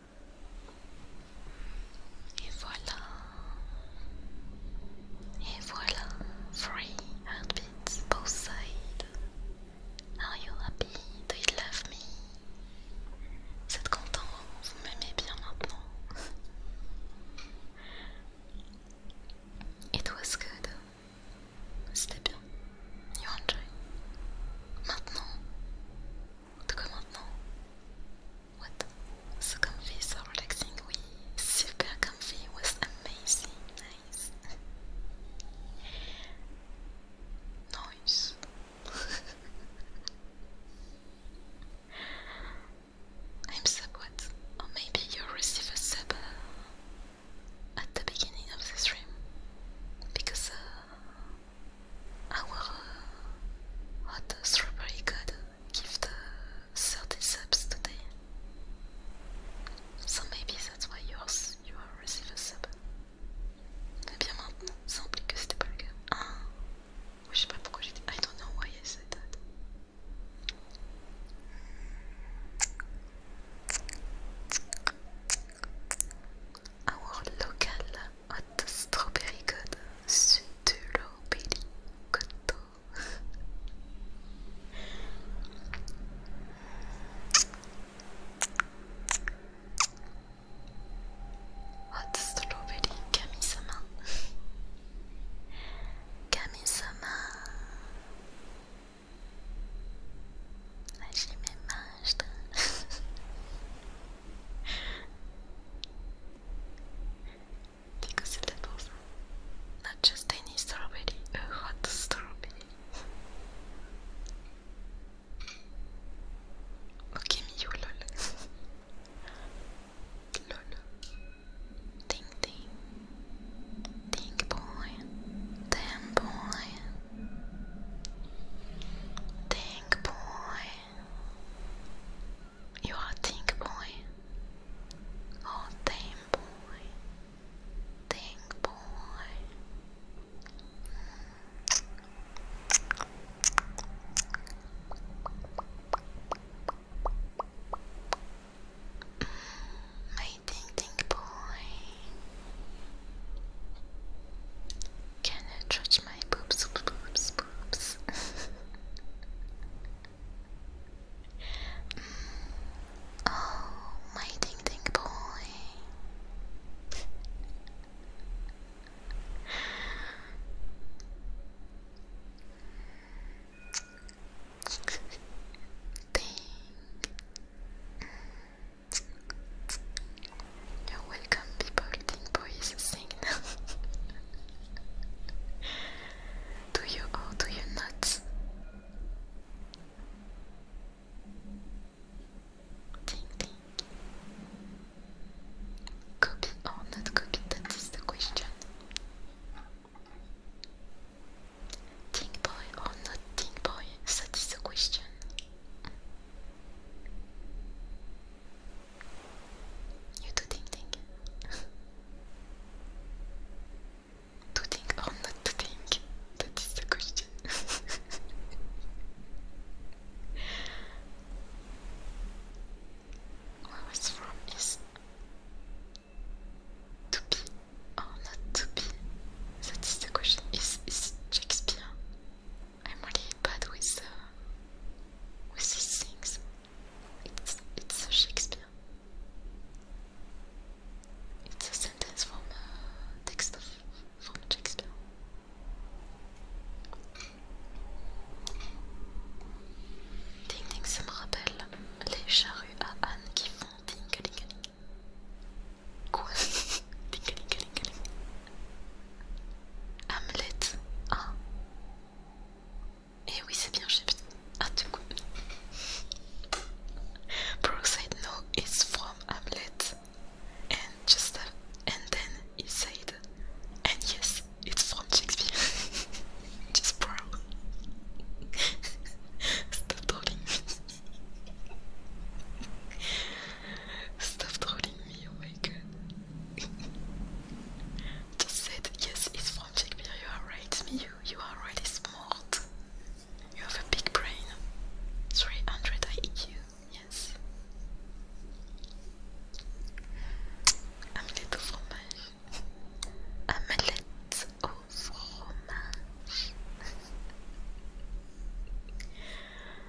Et voilà. Et voilà. Three heartbeats both sides. Are you happy? Do you love me? Vous êtes content? Vous m'aimez bien maintenant? It was good. C'était bien. You enjoy. Maintenant, En tout What? So comfy, so relaxing, oui. Super comfy, was amazing, nice. Nice. [LAUGHS] I'm sub what? Or maybe you'll a sub at the beginning of the stream. Because uh, our uh, hot strawberry gift uh, 30 subs today. So maybe that's why yours you are receive a sub. Eh bien maintenant, ça ah, I don't know why I said that. Our local hot strawberry good sutulo belly main, hot strawberry main, した Because it was not just any strawberry, a hot strawberry. okay, Miu, lol. lol. Ding ding. Ding boy. Damn boy. Ding boy. You are Think Boy. Oh, Think Boy. Think Boy. my mm, Think Think Boy. Can I trust touch my boops, boops, boobs. [LAUGHS] oh, my ding ding boy. [LAUGHS] Ding. You're welcome, people. Think boys sing now. [LAUGHS] do you or do you not? Think, think. Copy or not copy? That is the question. Think boy or not think boy? That is the question. You do think, think. think or oh, not to think? That is the question. [LAUGHS] Where from is to be or oh, not to be? That is the question. Is, is Shakespeare I'm really bad with with these things. It's it's Shakespeare. It's a sentence from a uh, text of from Shakespeare. Ding ding, ça me rappelle les charrues à Anne qui font ding ding ding. Quoi Ding [LAUGHS] ding ding ding. Hamlet 1. Ah. Et eh oui, c'est bien, j'ai Ah, tout coup. Brookside no is from Hamlet. And just uh, and then he said, and yes, it's from Shakespeare. [LAUGHS] just bro. [LAUGHS] Stop talking. [LAUGHS] Stop trolling me, oh my god. [LAUGHS] Just said, yes, it's from Chickbeer, you are right, Miu, you are really smart. You have a big brain. 300 IQ, yes. Amelette au fromage. Amelette au fromage. [LAUGHS]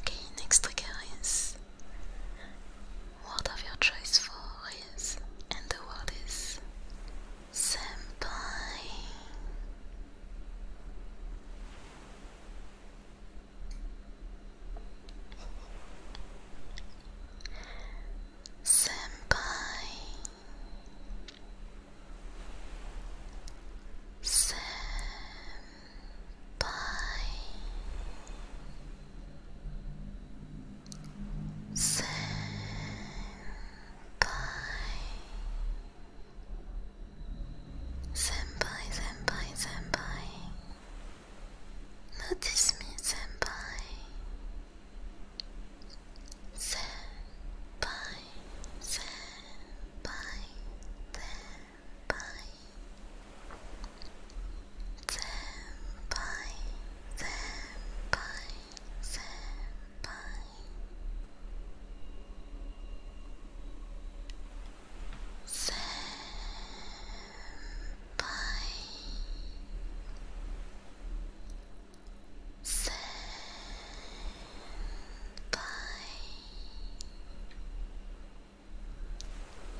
Okay, next trigger is word of your choice for is, and the world is senpai. Senpai Senpai Senpai Senpai Senpai Senpai Notice me, senpai. Senpai, senpai, senpai. Senpai, senpai, senpai. Senpai Senpai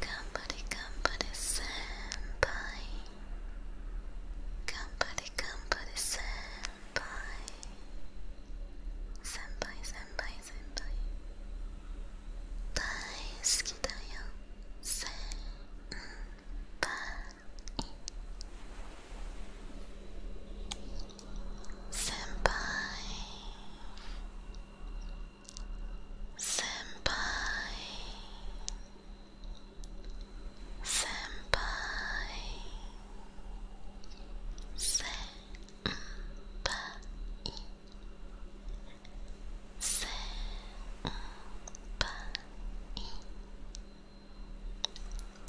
Company Company Senpai Company Company Senpai Senpai Senpai Senpai Senpai 大好きだよ先輩先輩先輩先輩先輩ぱいせんぱい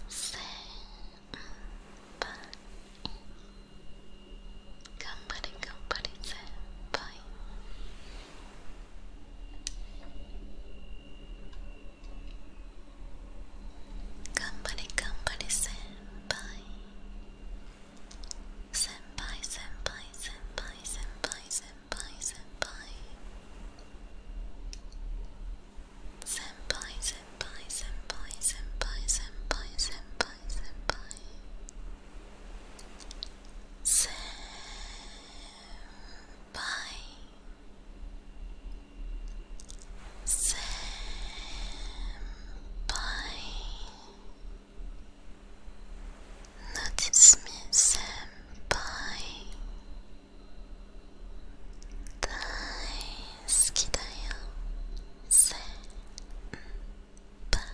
せんぱい頑張れ頑張れ先輩頑張れ頑張れ先輩頑張れ頑張れ先輩 Senpai, senpai, senpai, senpai, senpai, senpai. Senpai, senpai, senpai, senpai, senpai, senpai, senpai. Senpai. Senpai. Senpai. 夏目先輩大好きだよ先輩「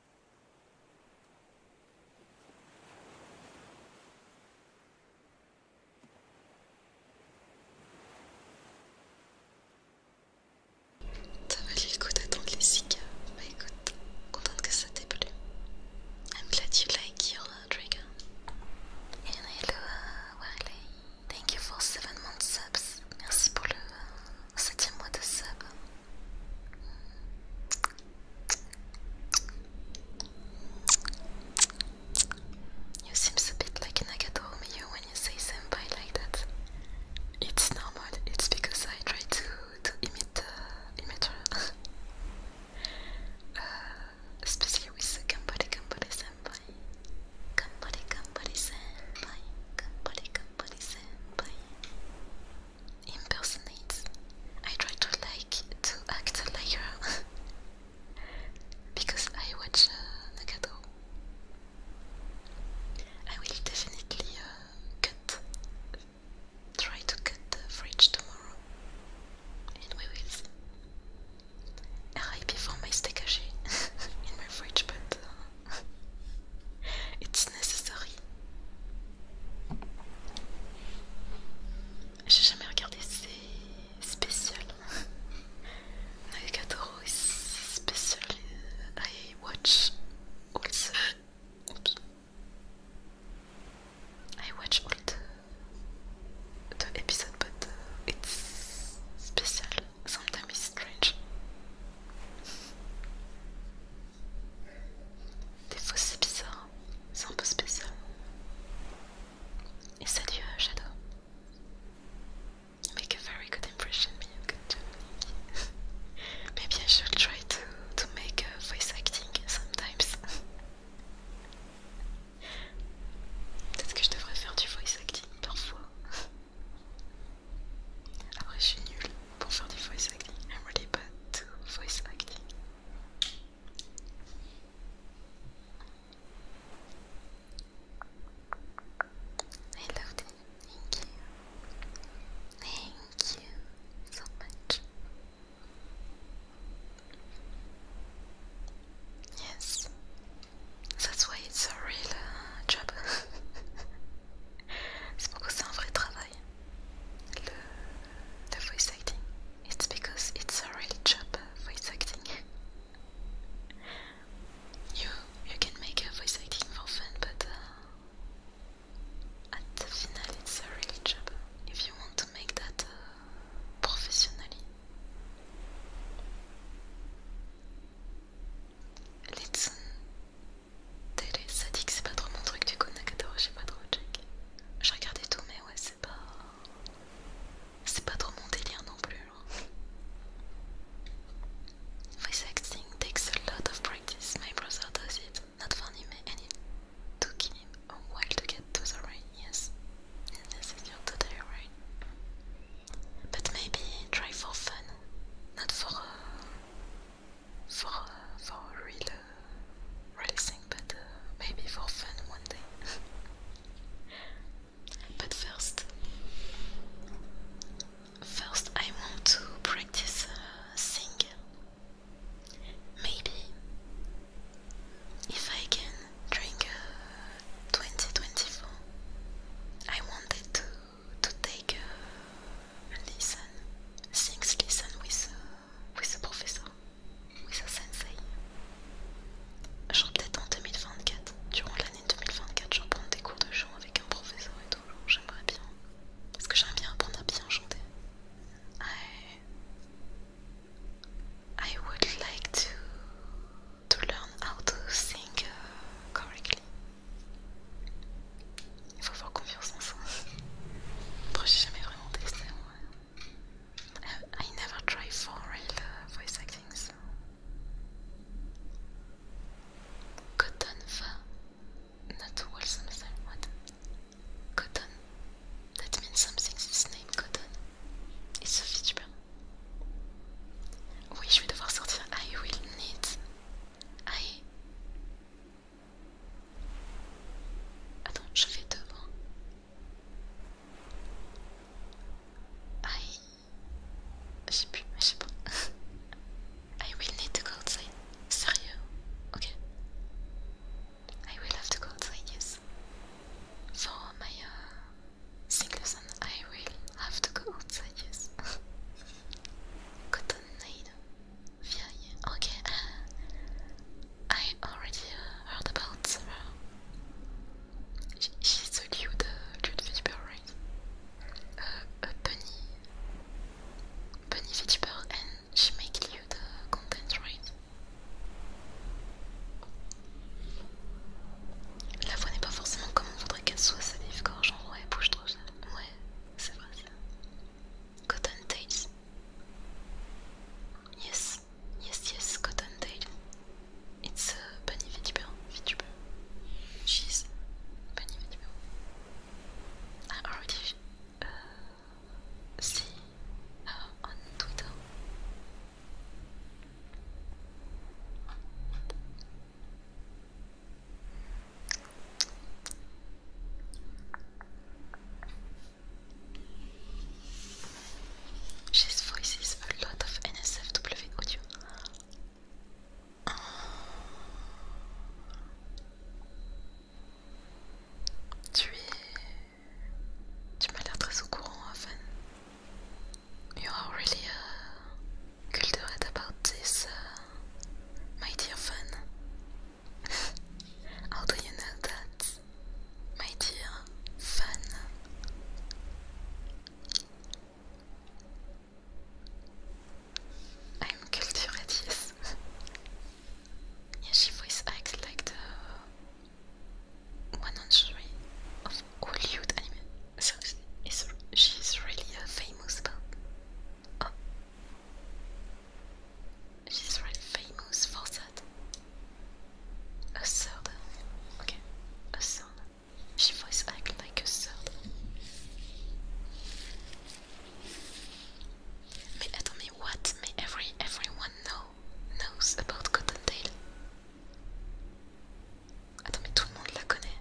Ça valait le coup d'attendre les cigares. Bah écoute, contente que ça t'ait plu. I'm glad you like your trigger. Uh, hello, uh, Wally, Thank you for 7 months subs. Merci pour le 7ème uh, mois de subs You seems a bit like an Agatomiu when you say senpai like that. It's normal, it's because I try to, to imit, uh, imit her. [LAUGHS] uh, especially with Gambari Gambari senpai. Gambari Gambari senpai. Gambari Gambari senpai impersonates. I try to like to act like her [LAUGHS] because I watch uh, Nagato. I will definitely uh, cut, try to cut the fridge tomorrow, and we will see. RIP my steak [LAUGHS] in my fridge, but uh, [LAUGHS] it's necessary J'ai jamais regardé ces spéciales. Naegatoro [LAUGHS] is special. Euh, I watch all the. episodes euh, I watch all the, euh, but it's special. Sometimes it's strange. Des fois c'est bizarre, c'est un peu spécial. Et salut euh, Shadow. You make a very good impression, me you good job. [LAUGHS] Maybe I should try to to make uh, voice acting sometimes. [LAUGHS] Peut-être que je devrais faire du voice acting parfois. [LAUGHS] Après je suis nulle pour faire du voice acting. I'm really bad to voice acting. I loved it. Thank you. Thank you so much. Yes, that's why it's a real uh, job. C'est pourquoi c'est un vrai travail the voice acting. It's because it's a really job, voice acting. you you can make a voice acting for fun, but uh, at the final it's a really job. If you want to make that uh, professionally. Let's... Télé, ça dit que c'est pas trop mon truc, du coup Nakatoro j'ai pas trop check. J'ai regardé tout, mais ouais, c'est pas. C'est pas trop mon délire non plus. Hein. Voice acting takes a lot of practice. My brother does it. Not for anime, and it took him a oh, while to get to the right. Yes, yes, you're totally right. But maybe try for fun, not for uh, for for real uh, racing, but uh, maybe for fun one day. [LAUGHS] but first, first I want to practice uh, Maybe if I can drink uh, 2024, I wanted to to take uh, a uh, sing listen with Oui, ce professeur. Oui, ça sensei. Genre peut-être en 2024, durant l'année 2024, je prends des cours de chant avec un professeur et tout. J'aimerais bien. Parce que j'aime bien apprendre à bien chanter. I, would like to, to learn how to sing uh, correctly. Il faut avoir confiance en soi. Après, j'ai jamais vraiment testé. Ouais. Euh, I, never try for real voice acting. So. Cotton va. Not well something. What? Cotton. That means something. it's name Cotton. It's Sophie, tu oui, je vais devoir sortir. I will need. I Attends, je vais devant. I... Je sais plus, je sais pas. [LAUGHS] I will need to go outside. Sérieux Ok. I will have to go outside, yes. For my uh, singles and I will have to go outside, yes. [LAUGHS] Cotton Furieux. Ok, uh, I already heard about uh, her. She's a lewd, uh, cute vtuber, right? Uh, a bunny, bunny vtuber, and she makes lewd the content, right? La voix n'est pas forcément comme on voudrait qu'elle soit, sa livre gorge genre ouais, bouge trop ça. Ouais, c'est vrai ça. cotton tails. Yes, yes, yes, cotton tail. It's a bunny video. She's bunny VTuber. I already uh, see her uh, on Twitter. This voice is a lot of NSFW audio. Uh, tu es. Tu m'as l'air très au courant, Fan. You are really uh, cultured about this, uh, my dear Fan. How do you know that, my dear fan? I'm cultured, yes. [LAUGHS] she voice acts the one on three of Hollywood anime. So she's really a famous, but She's really famous for that. A third. Okay, a third. She voice act like a third. Mais attendez, what may every everyone know knows about Cottontail? Attends, mais tout la connaît.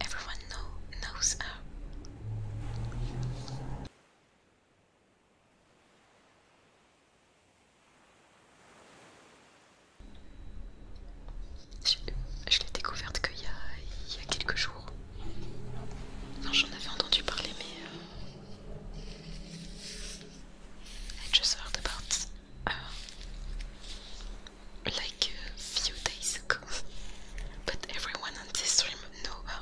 Everyone know, knows her. Je, l'ai découverte qu'il y, a quelques jours. Enfin, j'en avais entendu parler, mais. J'ai euh, I just heard about uh, like a few days ago. [LAUGHS] But everyone on this stream know uh,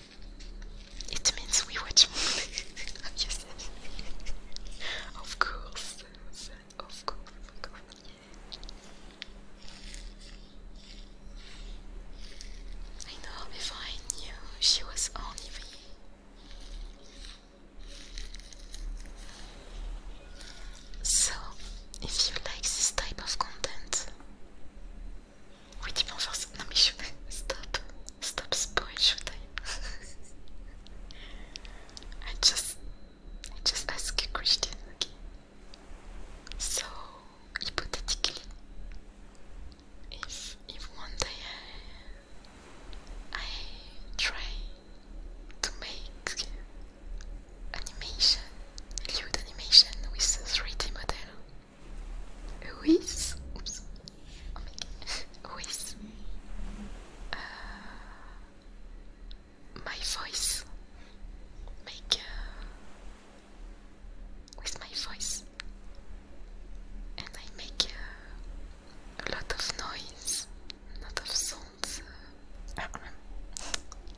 It means we watch movies. [LAUGHS] yes. of course. Of course. I know before I knew she was only. TV. So, if you like this type of content, Oui, dimanche, Stop. Stop spoil, should I? just... I just ask a question, okay? So, hypothetically, if, if one day I, try to make animation, lewd animation with a 3D model, Ruiz. Oops. Oh my God. Ruiz. Uh, my voice. Make. Uh, with my voice. And I make uh, a lot of noise, a lot of sounds. Uh,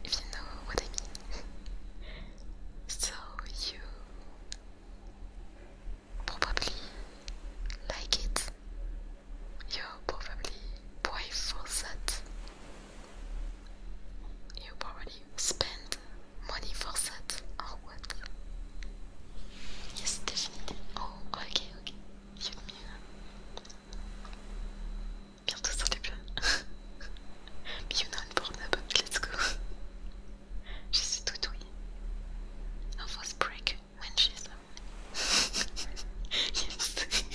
if you know what I mean. [LAUGHS] so you probably like it. You're probably brave for that. You probably spend money for that or oh, what? Yes, definitely. Oh, ok, ok. You mean. Bientôt sur les plats. you know, I'm let's go. Je suis toutouille. I was when she's [LAUGHS] yes.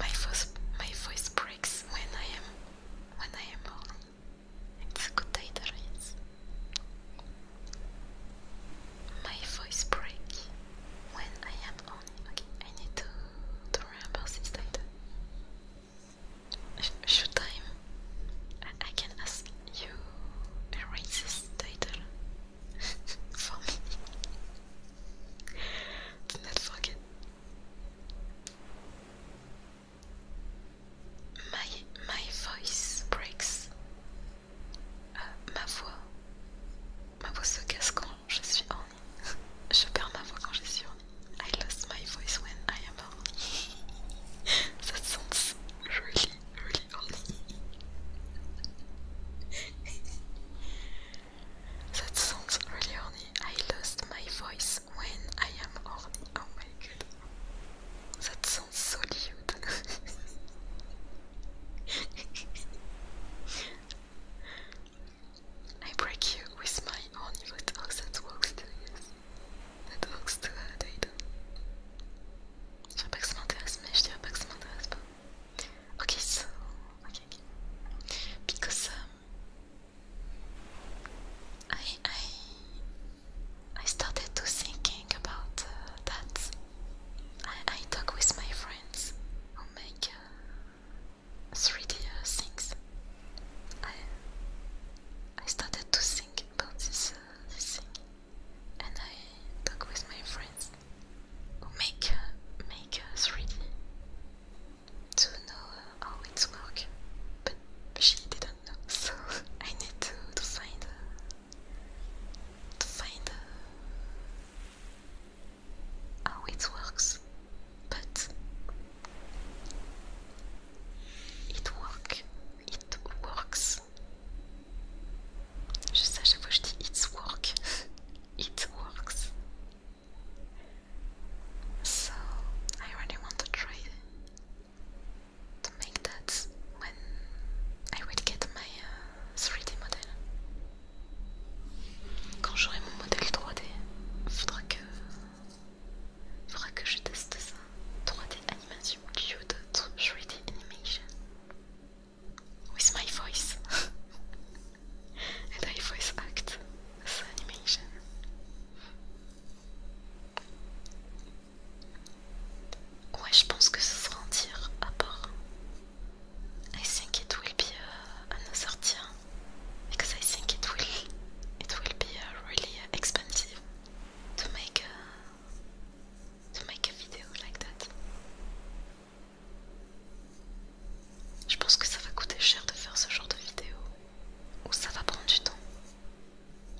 my voice my voice breaks when I am when I am on. It's a good title, yes. My voice breaks when I am on. Okay, I need to remember this Showtime. I can ask you a racist title [LAUGHS] for me. Do forget. My my voice breaks. Euh, ma voix. Ma voix se casse quand je suis en [LAUGHS] Je perds ma voix quand je suis I lost my voice when I am old. [LAUGHS] that sounds really, really old. [LAUGHS] that sounds really horny. I lost my voice when I am horny. Oh my god. That sounds so cute. [LAUGHS] I break you with my own, but oh, that works too, Network Star Data. Je dirais pas que ça m'intéresse, mais je dirais pas que ça m'intéresse pas. Ok, so. Because um, I, I, I started to thinking about uh, that. I, I talk with my friends who make 3D uh, things. I I started to think about uh, this, thing, and I talked with my friends who make uh, to know how it's work, but she didn't know, [LAUGHS] so I need to, to find uh, to find uh, how it works. But it work, it works. Je sais, chaque fois je dis it's work. [LAUGHS] it works. So I really want to try to make that when I will get my 3D uh, model. Quand j'aurai mon modèle 3D, faudra Il Faudra que je teste ça. 3D animation, d'autres 3D animation. With my voice. Et [LAUGHS] ma voice act as animation. Ouais, je pense que ce sera un tir à part. Je pense que ce sera un autre tir Parce que je pense que ce sera vraiment expensive to make a to make a Je pense que ça va coûter cher de faire ce genre de vidéo ou ça va prendre du temps.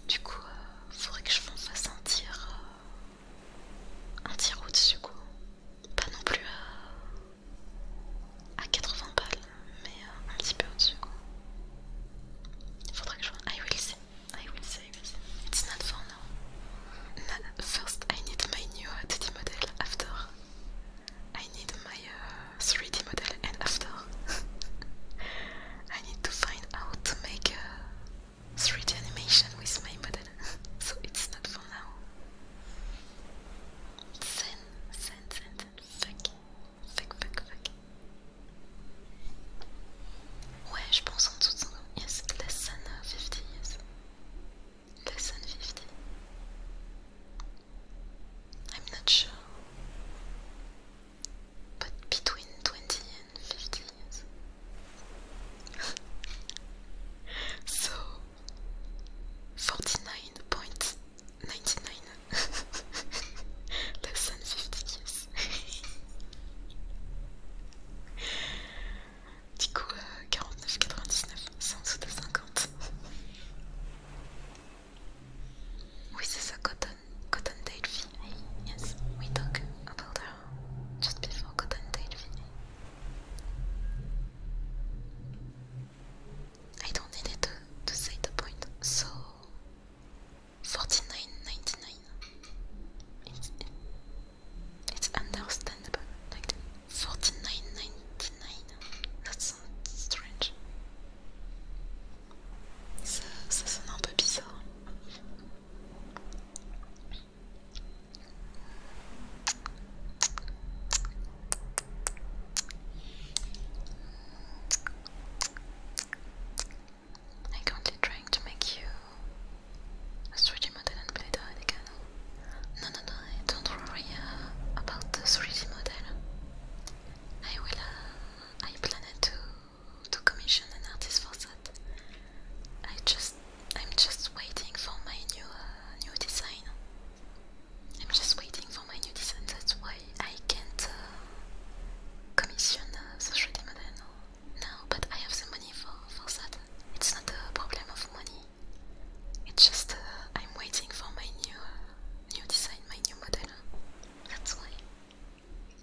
Du coup, euh, faudrait que je fasse un tir euh, un tir au-dessus quoi. Pas non plus euh, à à 80 balles, mais Euh, I will see. I will see. It's not for now. first, I need my new uh, 3 d model. After, I need my 3D uh, model. And after, [LAUGHS] I need to find out to make a uh, 3D animation with my model. [LAUGHS] so it's not for now. Zen, zen, zen, zen. Fuck. Ouais, je pense en dessous de 50. Yes, less de euh, 50, yes. Less 50. I'm not sure. But between 20 and 50 [LAUGHS] so 49.99 Less than 50 kiss. Du coup, 49,99, euh, c'est en de 50. Oui, c'est ça, Cotton, Cotton Tail V. Hey, yes, we talk about her just before Cotton Tail V. I don't need it to, to say point, donc... 49.99. It's, understandable. Like 49.99. That sounds strange. Ça, ça sonne un peu bizarre. I'm currently trying to make you a 3D model and build it again. No, no, no, don't worry uh, about the 3D model. I will, uh, I plan to, to commission an artist for that. I just, I'm just waiting for my new, uh, new design. I'm just waiting for my new design, that's why I can't uh, commission uh, social 3 now, but I have the money for for that. It's not a problem of money. It's just uh, I'm waiting for my new nouveau new design, my new model. That's why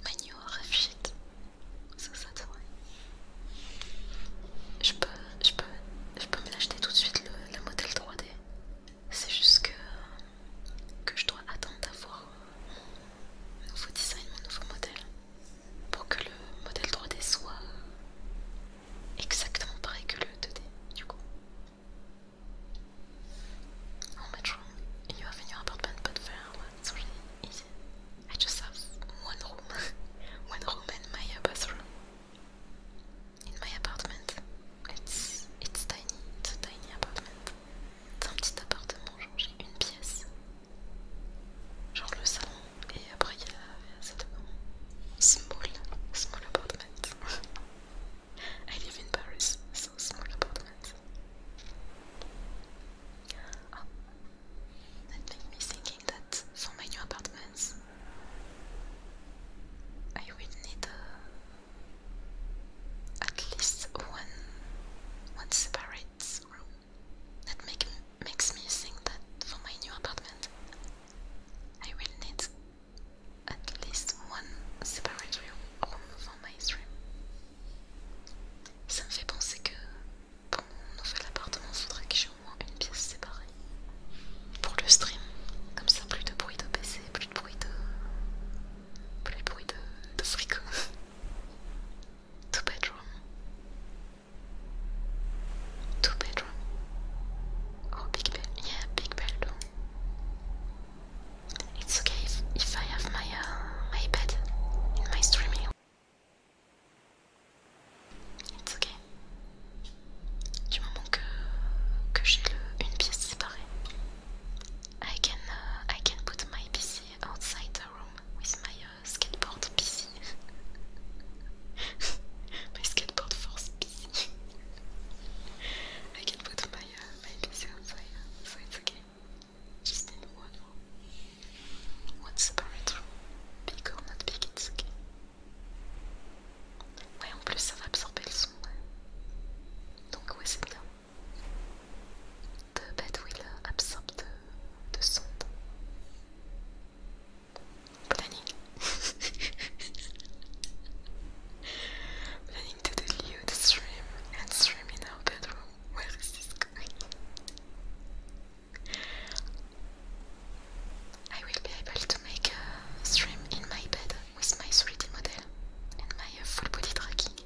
my new rough C'est So that's Je peux, je peux, je peux me l'acheter tout de suite le, modèle 3D. C'est juste que, que je dois attendre d'avoir euh, nouveau design, un nouveau modèle, pour que le modèle 3D soit exactement pareil que le 2D du coup. How much room in your appartement apartment C'est there was really easy. I just have one room, [LAUGHS] one room and my bathroom. In my apartment, it's it's tiny, it's tiny apartment. C'est un petit appartement, genre j'ai une pièce. Genre le salon, et après il y a cet appartement. Small, small appartement I live in Paris, so small appartement Ah, that makes me thinking that for my new apartments, I will need a at least one one separate room. That make, makes me think that for my new apartment I will need at least one separate room, room for my stream. Ça me fait penser que pour mon nouvel appartement, il voudrais que j'ai au moins une pièce séparée pour le stream. Comme ça, plus de bruit de PC, plus de bruit de. plus de bruit de, de fric. [LAUGHS] Two bedroom. Two bedroom. Oh, big bed. Yeah, big It's okay if, I have my uh, my bed in my streaming. It's okay. Du moment que, j'ai une pièce séparée, I can, uh, I can put my PC outside the room with my uh, skateboard PC. [LAUGHS] my skateboard force PC. [LAUGHS] I can put my, uh, my PC outside, uh, so it's okay. Just need one room. One separate room. Big or not big, it's okay. Ouais, en plus ça va absorber le son. Donc ouais, c'est bien. the bed absorbe de, de sonde. Planning. [LAUGHS] Planning to delude stream and stream in our bedroom. Where is this going? I will be able to make a stream in my bed with my 3D model and my full body tracking.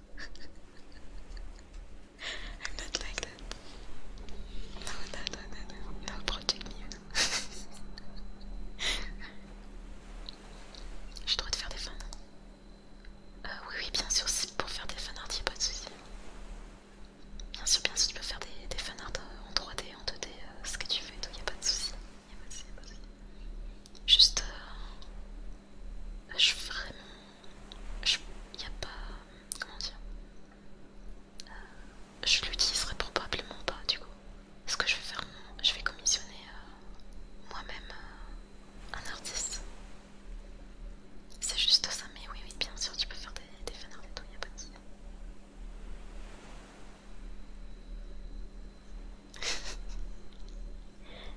Je not like that. No, ça no, J'ai le droit de faire des fans. Euh, oui, oui, bien sûr, c'est pour faire des fanarts, a pas de soucis. Bien sûr, bien sûr, tu peux faire des, des fanarts euh, en 3D, en 2D, euh, ce que tu veux donc il y'a pas de soucis. pas de soucis, Juste, je suis vraiment je a pas... Comment dire euh, Je l'utiliserai probablement pas du coup. Ce que je vais faire, je vais commissionner euh, moi-même euh, un artiste. C'est juste ça, mais oui, oui, bien sûr, tu peux faire des, des et tout, il pas de [LAUGHS]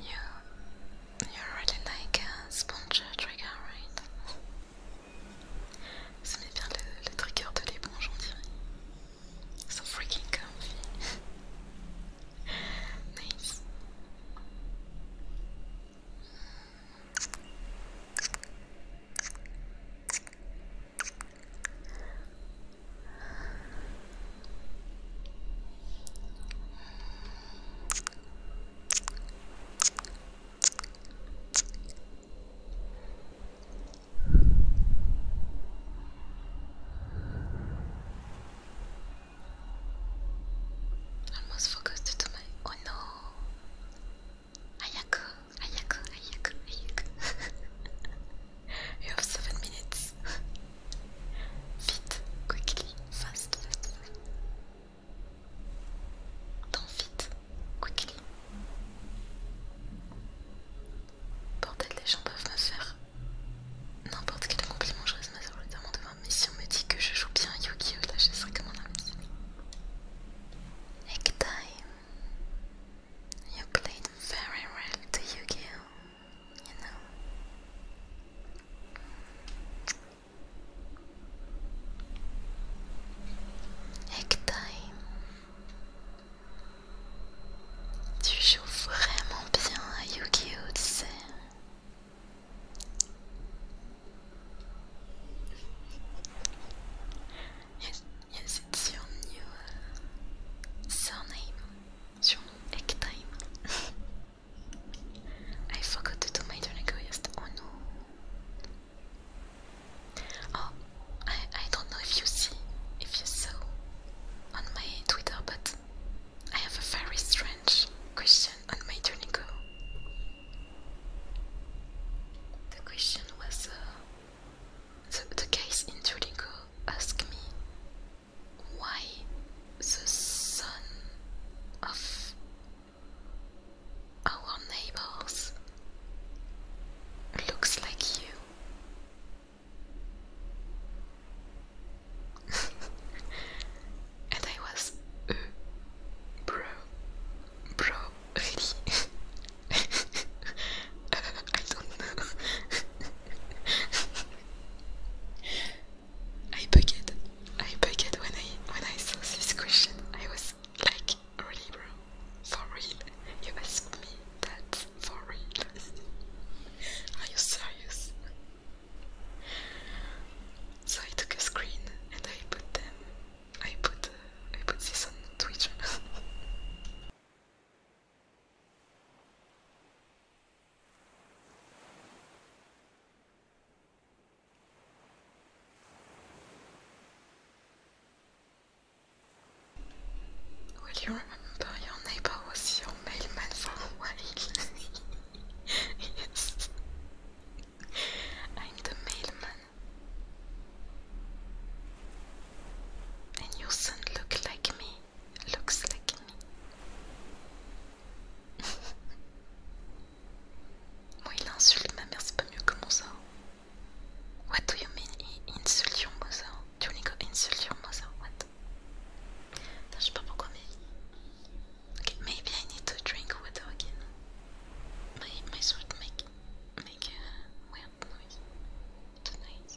You, you really like a sponge trigger, right? Ça met bien le, le trigger de l'éponge, on dirait. So freaking comfy. [LAUGHS] nice. I'm Almost focused to my. Oh no! Ayako, Ayako, Ayako, Ayako. you have 7 minutes. Vite, quickly, fast, fast. Dans vite, quickly. Bordel, les gens peuvent me faire n'importe quel compliment. Je reste de devant. Mais si on me dit que je joue bien Yu-Gi-Oh! là, je serai comme un ami Next time you played very well to You know. Next time tu joues vraiment bien à Yes, yes it's your new surname, your egg time. I forgot to do my turn request, oh no. Oh, I, I don't know if you see, if you saw on my Twitter, but I have a very strange question on my turn the question was uh, the, the case in Tulico Ask me why the son of our neighbors looks like you. [LAUGHS] and I was, uh, bro, bro, really? I don't know. I bugged. I bugged when I when I saw this question. I was like, really, bro? For real? You asked me that for real? Are you serious? So I took a screen and I put them I put I put this on Twitter. Will you remember your neighbor was your mailman while? [LAUGHS] I'm the mailman. And your son look like me. Looks like me. [LAUGHS] Moi il insulte ma mère, c'est pas mieux que mon What do you mean insult your mother? Do you mean insult your mother? What? Je sais pas pourquoi mais... maybe I need to drink water again. My, my throat make make a weird noise tonight.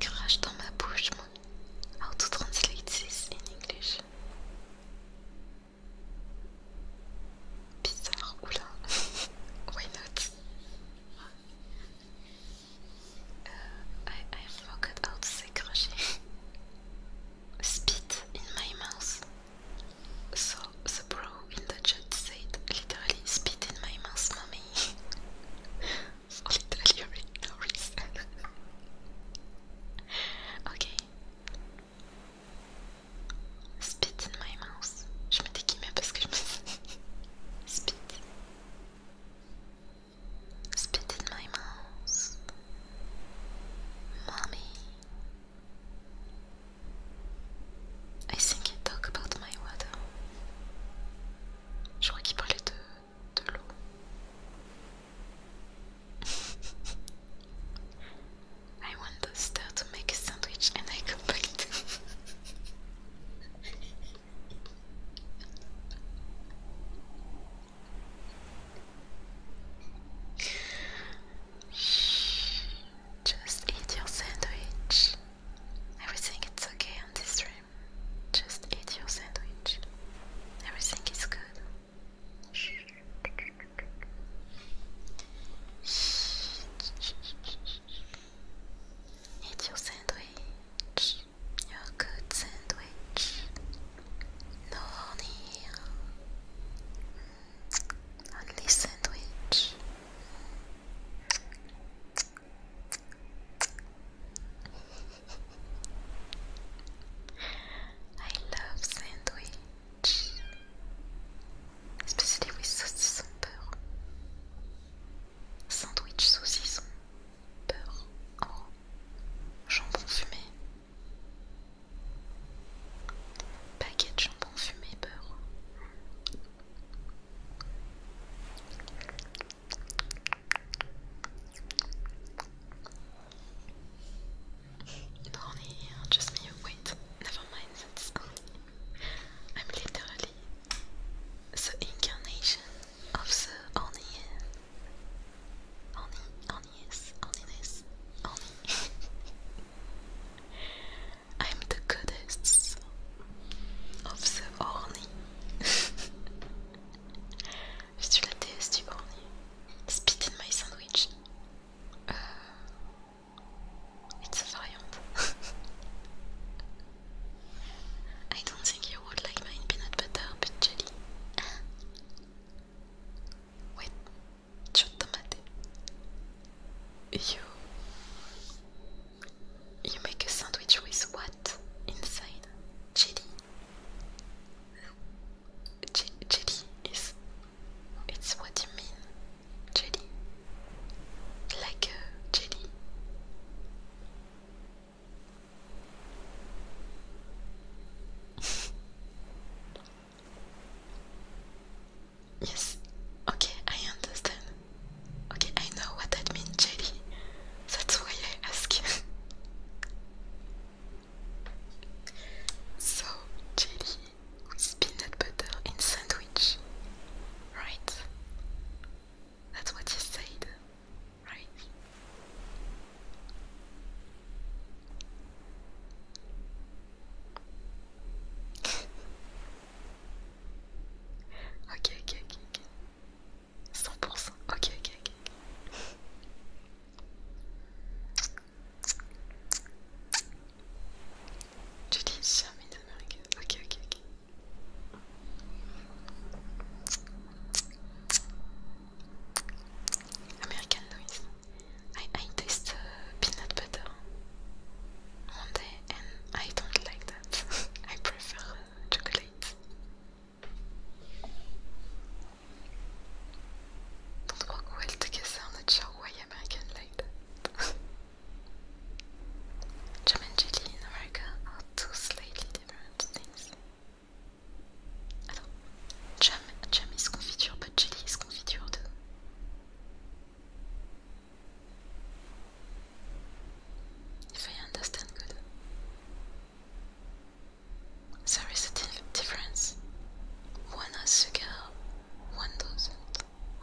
Crash [LAUGHS] dans ma bouche, moi. How translate this in English? Bizarre, oula. [LAUGHS] Why not? Uh, I, I forgot how to say crochet. [LAUGHS] Spit in my mouth. So the bro in the chat said, literally spit in my mouth, mommy. [LAUGHS] literally, [LAUGHS] okay. Spit in my mouth. Je me déguimais parce que je me. [LAUGHS] Spit. Spit in my mouth. Mommy. I think he talk about my water. Je crois qu'il parlait de, de l'eau. [LAUGHS] I want the star to make a sandwich and I come back to just eat your sandwich. Everything is okay on this stream. Just eat your sandwich. Everything is good. Eat your sandwich. Your good sandwich. No honey ugly sandwich. I love sandwich, especially with saucisson beurre. Sandwich saucisson beurre en oh, jambon fumé. Paquet jambon fumé beurre. Brownie, just me. Wait, never mind. I'm literally the incarnation of the honey. Honey, honey is, honey I'm the goddess of the horny. Je suis la déesse du horny. Spit in my sandwich. Uh, it's a variant. [LAUGHS] I don't think you would like mine peanut butter but jelly. Wait, ちょっと待って。You You make a sandwich with what? Inside jelly. J jelly is it's what you mean. Jelly. Like jelly. [LAUGHS] Yes, okay, I understand. Okay, I know what that means, Jelly. That's why I ask you. so, jelly with peanut butter in sandwich, right? That's what you said, right? [LAUGHS] Ok, ok, ok, ok. 100%. Ok, ok, ok. Tu dis jamais d'Amérique. Ok, ok, ok. American noise. I, I taste uh, peanut butter one day and I don't like that. [LAUGHS] I prefer uh, chocolate. Don't walk well together, I'm why American like Jam [LAUGHS] and jelly in America are two slightly different things. I don't. Jam, jam is confiture, but jelly is confiture too. If I understand good, there is a di difference. One has a girl, one doesn't.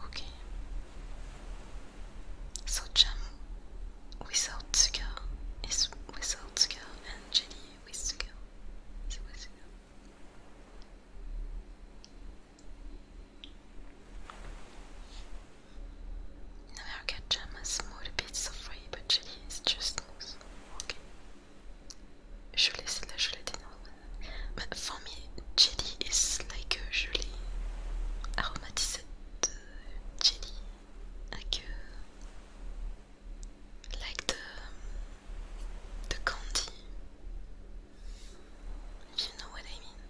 Okay. So jam without sugar is without sugar and jelly with sugar is with sugar. Na moja czemu może być sofrable, czyli jest just Jelly c'est de la gélatine. jelly is like a jelly aromatized jelly. Like, uh, like the candy. You know what I mean?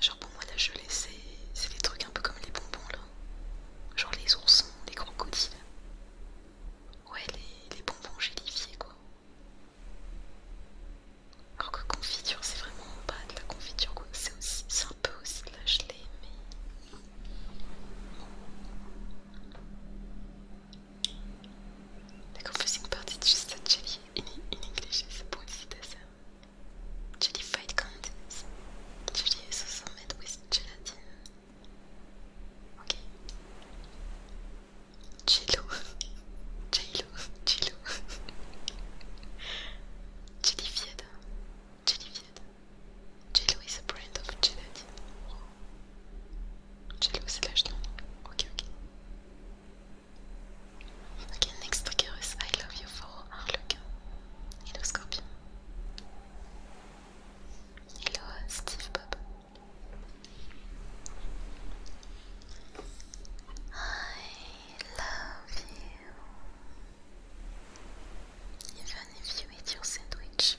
Genre pour moi la gelée c'est des trucs un peu comme les bonbons là. Genre les oursons, les crocodiles. Ouais les, les bonbons gélifiés quoi. Alors que confiture c'est vraiment pas de la confiture quoi. C'est un peu aussi de la gelée mais... The confusing part is just said jelly in, in English is pointed as a jellified contents. Jelly is also made with gelatin. Okay. Jello. Jello. Jello. Jellified. Jellified. Jello is a brand of gelatin. Jealousy lâche Ok, ok. Okay, next trigger is I love you for Harlequin. Hello Scorpion. Hello Steve Bob. I love you. Even if you eat your sandwich.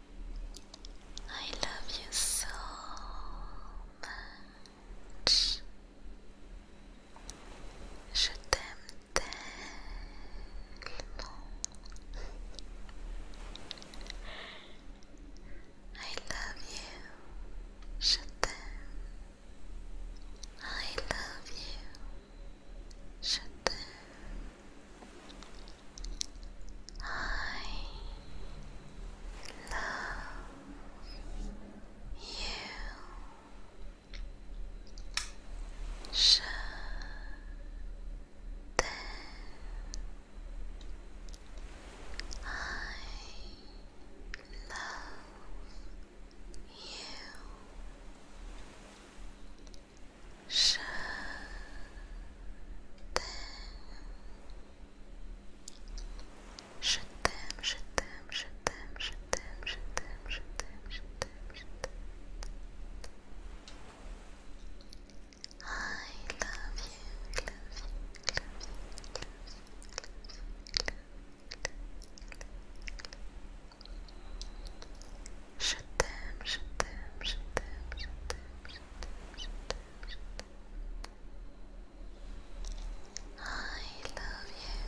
I love you so much. Je t'aime tellement. I love you. Je t'aime. I love you. Je t'aime. I love you. Je I love you. Shut them. Shut them, shut them, shut them, shut them, shut them, shut them, shut them, shut them. I love you, love you, love you, love you, love you. Shut them, shut them, shut them, shut them, shut them, shut them. I love you.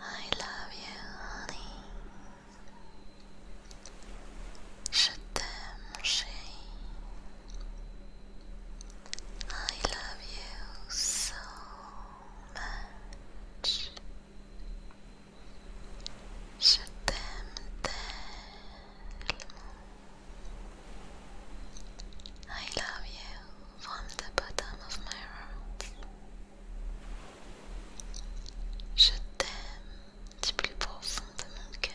I love you, honey. Je t'aime, chérie. I love you so I love you from the bottom of my heart. Je t'aime du plus profond de mon cœur.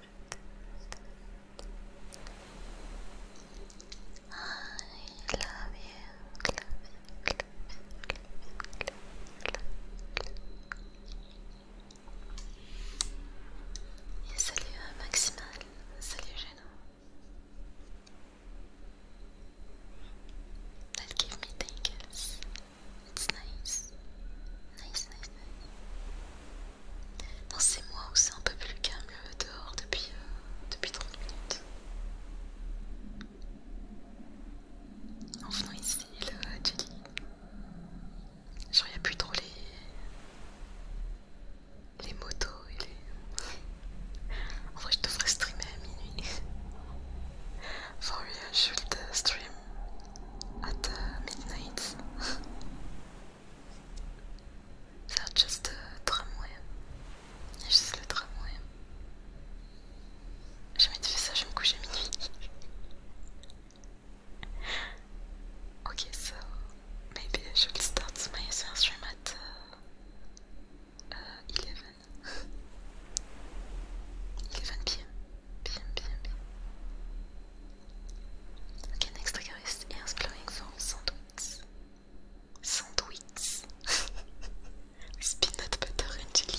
I love you. Love Maximal, salut Geno. That gave me tingles. It's Nice, nice, nice. dans moi mois où c'est un peu plus calme dehors depuis, euh, depuis 30 minutes. En venant ici, le Julie, genre il plus trop les, motos et les... en vrai je devrais streamer à minuit. [LAUGHS] For real, should stream at uh, midnight. They're just a tramway. Juste le tramway. ça, je me couche à minuit. [LAUGHS] ok, so maybe I should start my ma stream at 11. Uh, uh, [LAUGHS] Okay, next trigger is exploring for sandwiches. Sandwiches [LAUGHS] with peanut butter and jelly.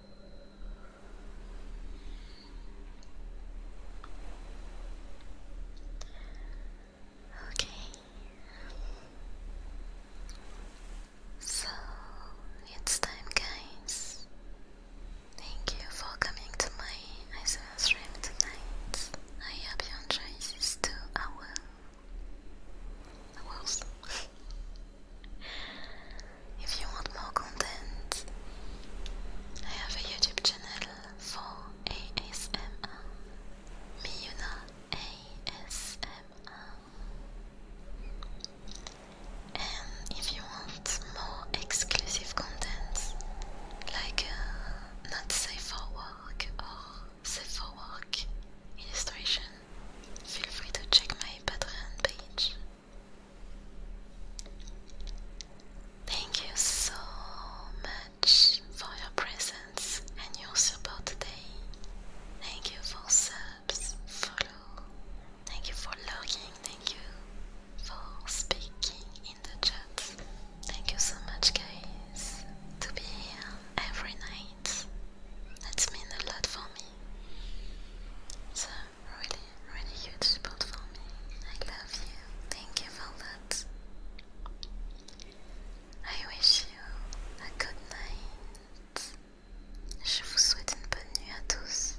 Okay. So it's time, guys. Thank you for coming to my ISO stream tonight. I hope you enjoy these two hours. Hours. [LAUGHS] If you want more content, I have a YouTube channel for ASMR, Miyuna ASMR. And if you want more exclusive content, like uh, not safe for work or safe for work illustration, feel free to check my Patreon page. Thank you so much for your presence and your support today. Thank you for subs, follow, thank you for logging, thank you for speaking in the chat. Thank you so much, guys, to be here every night. That's mean a lot for me. So really, really huge support for me. I love you. Thank you for that. I wish you a good night. Je vous souhaite une bonne nuit à tous.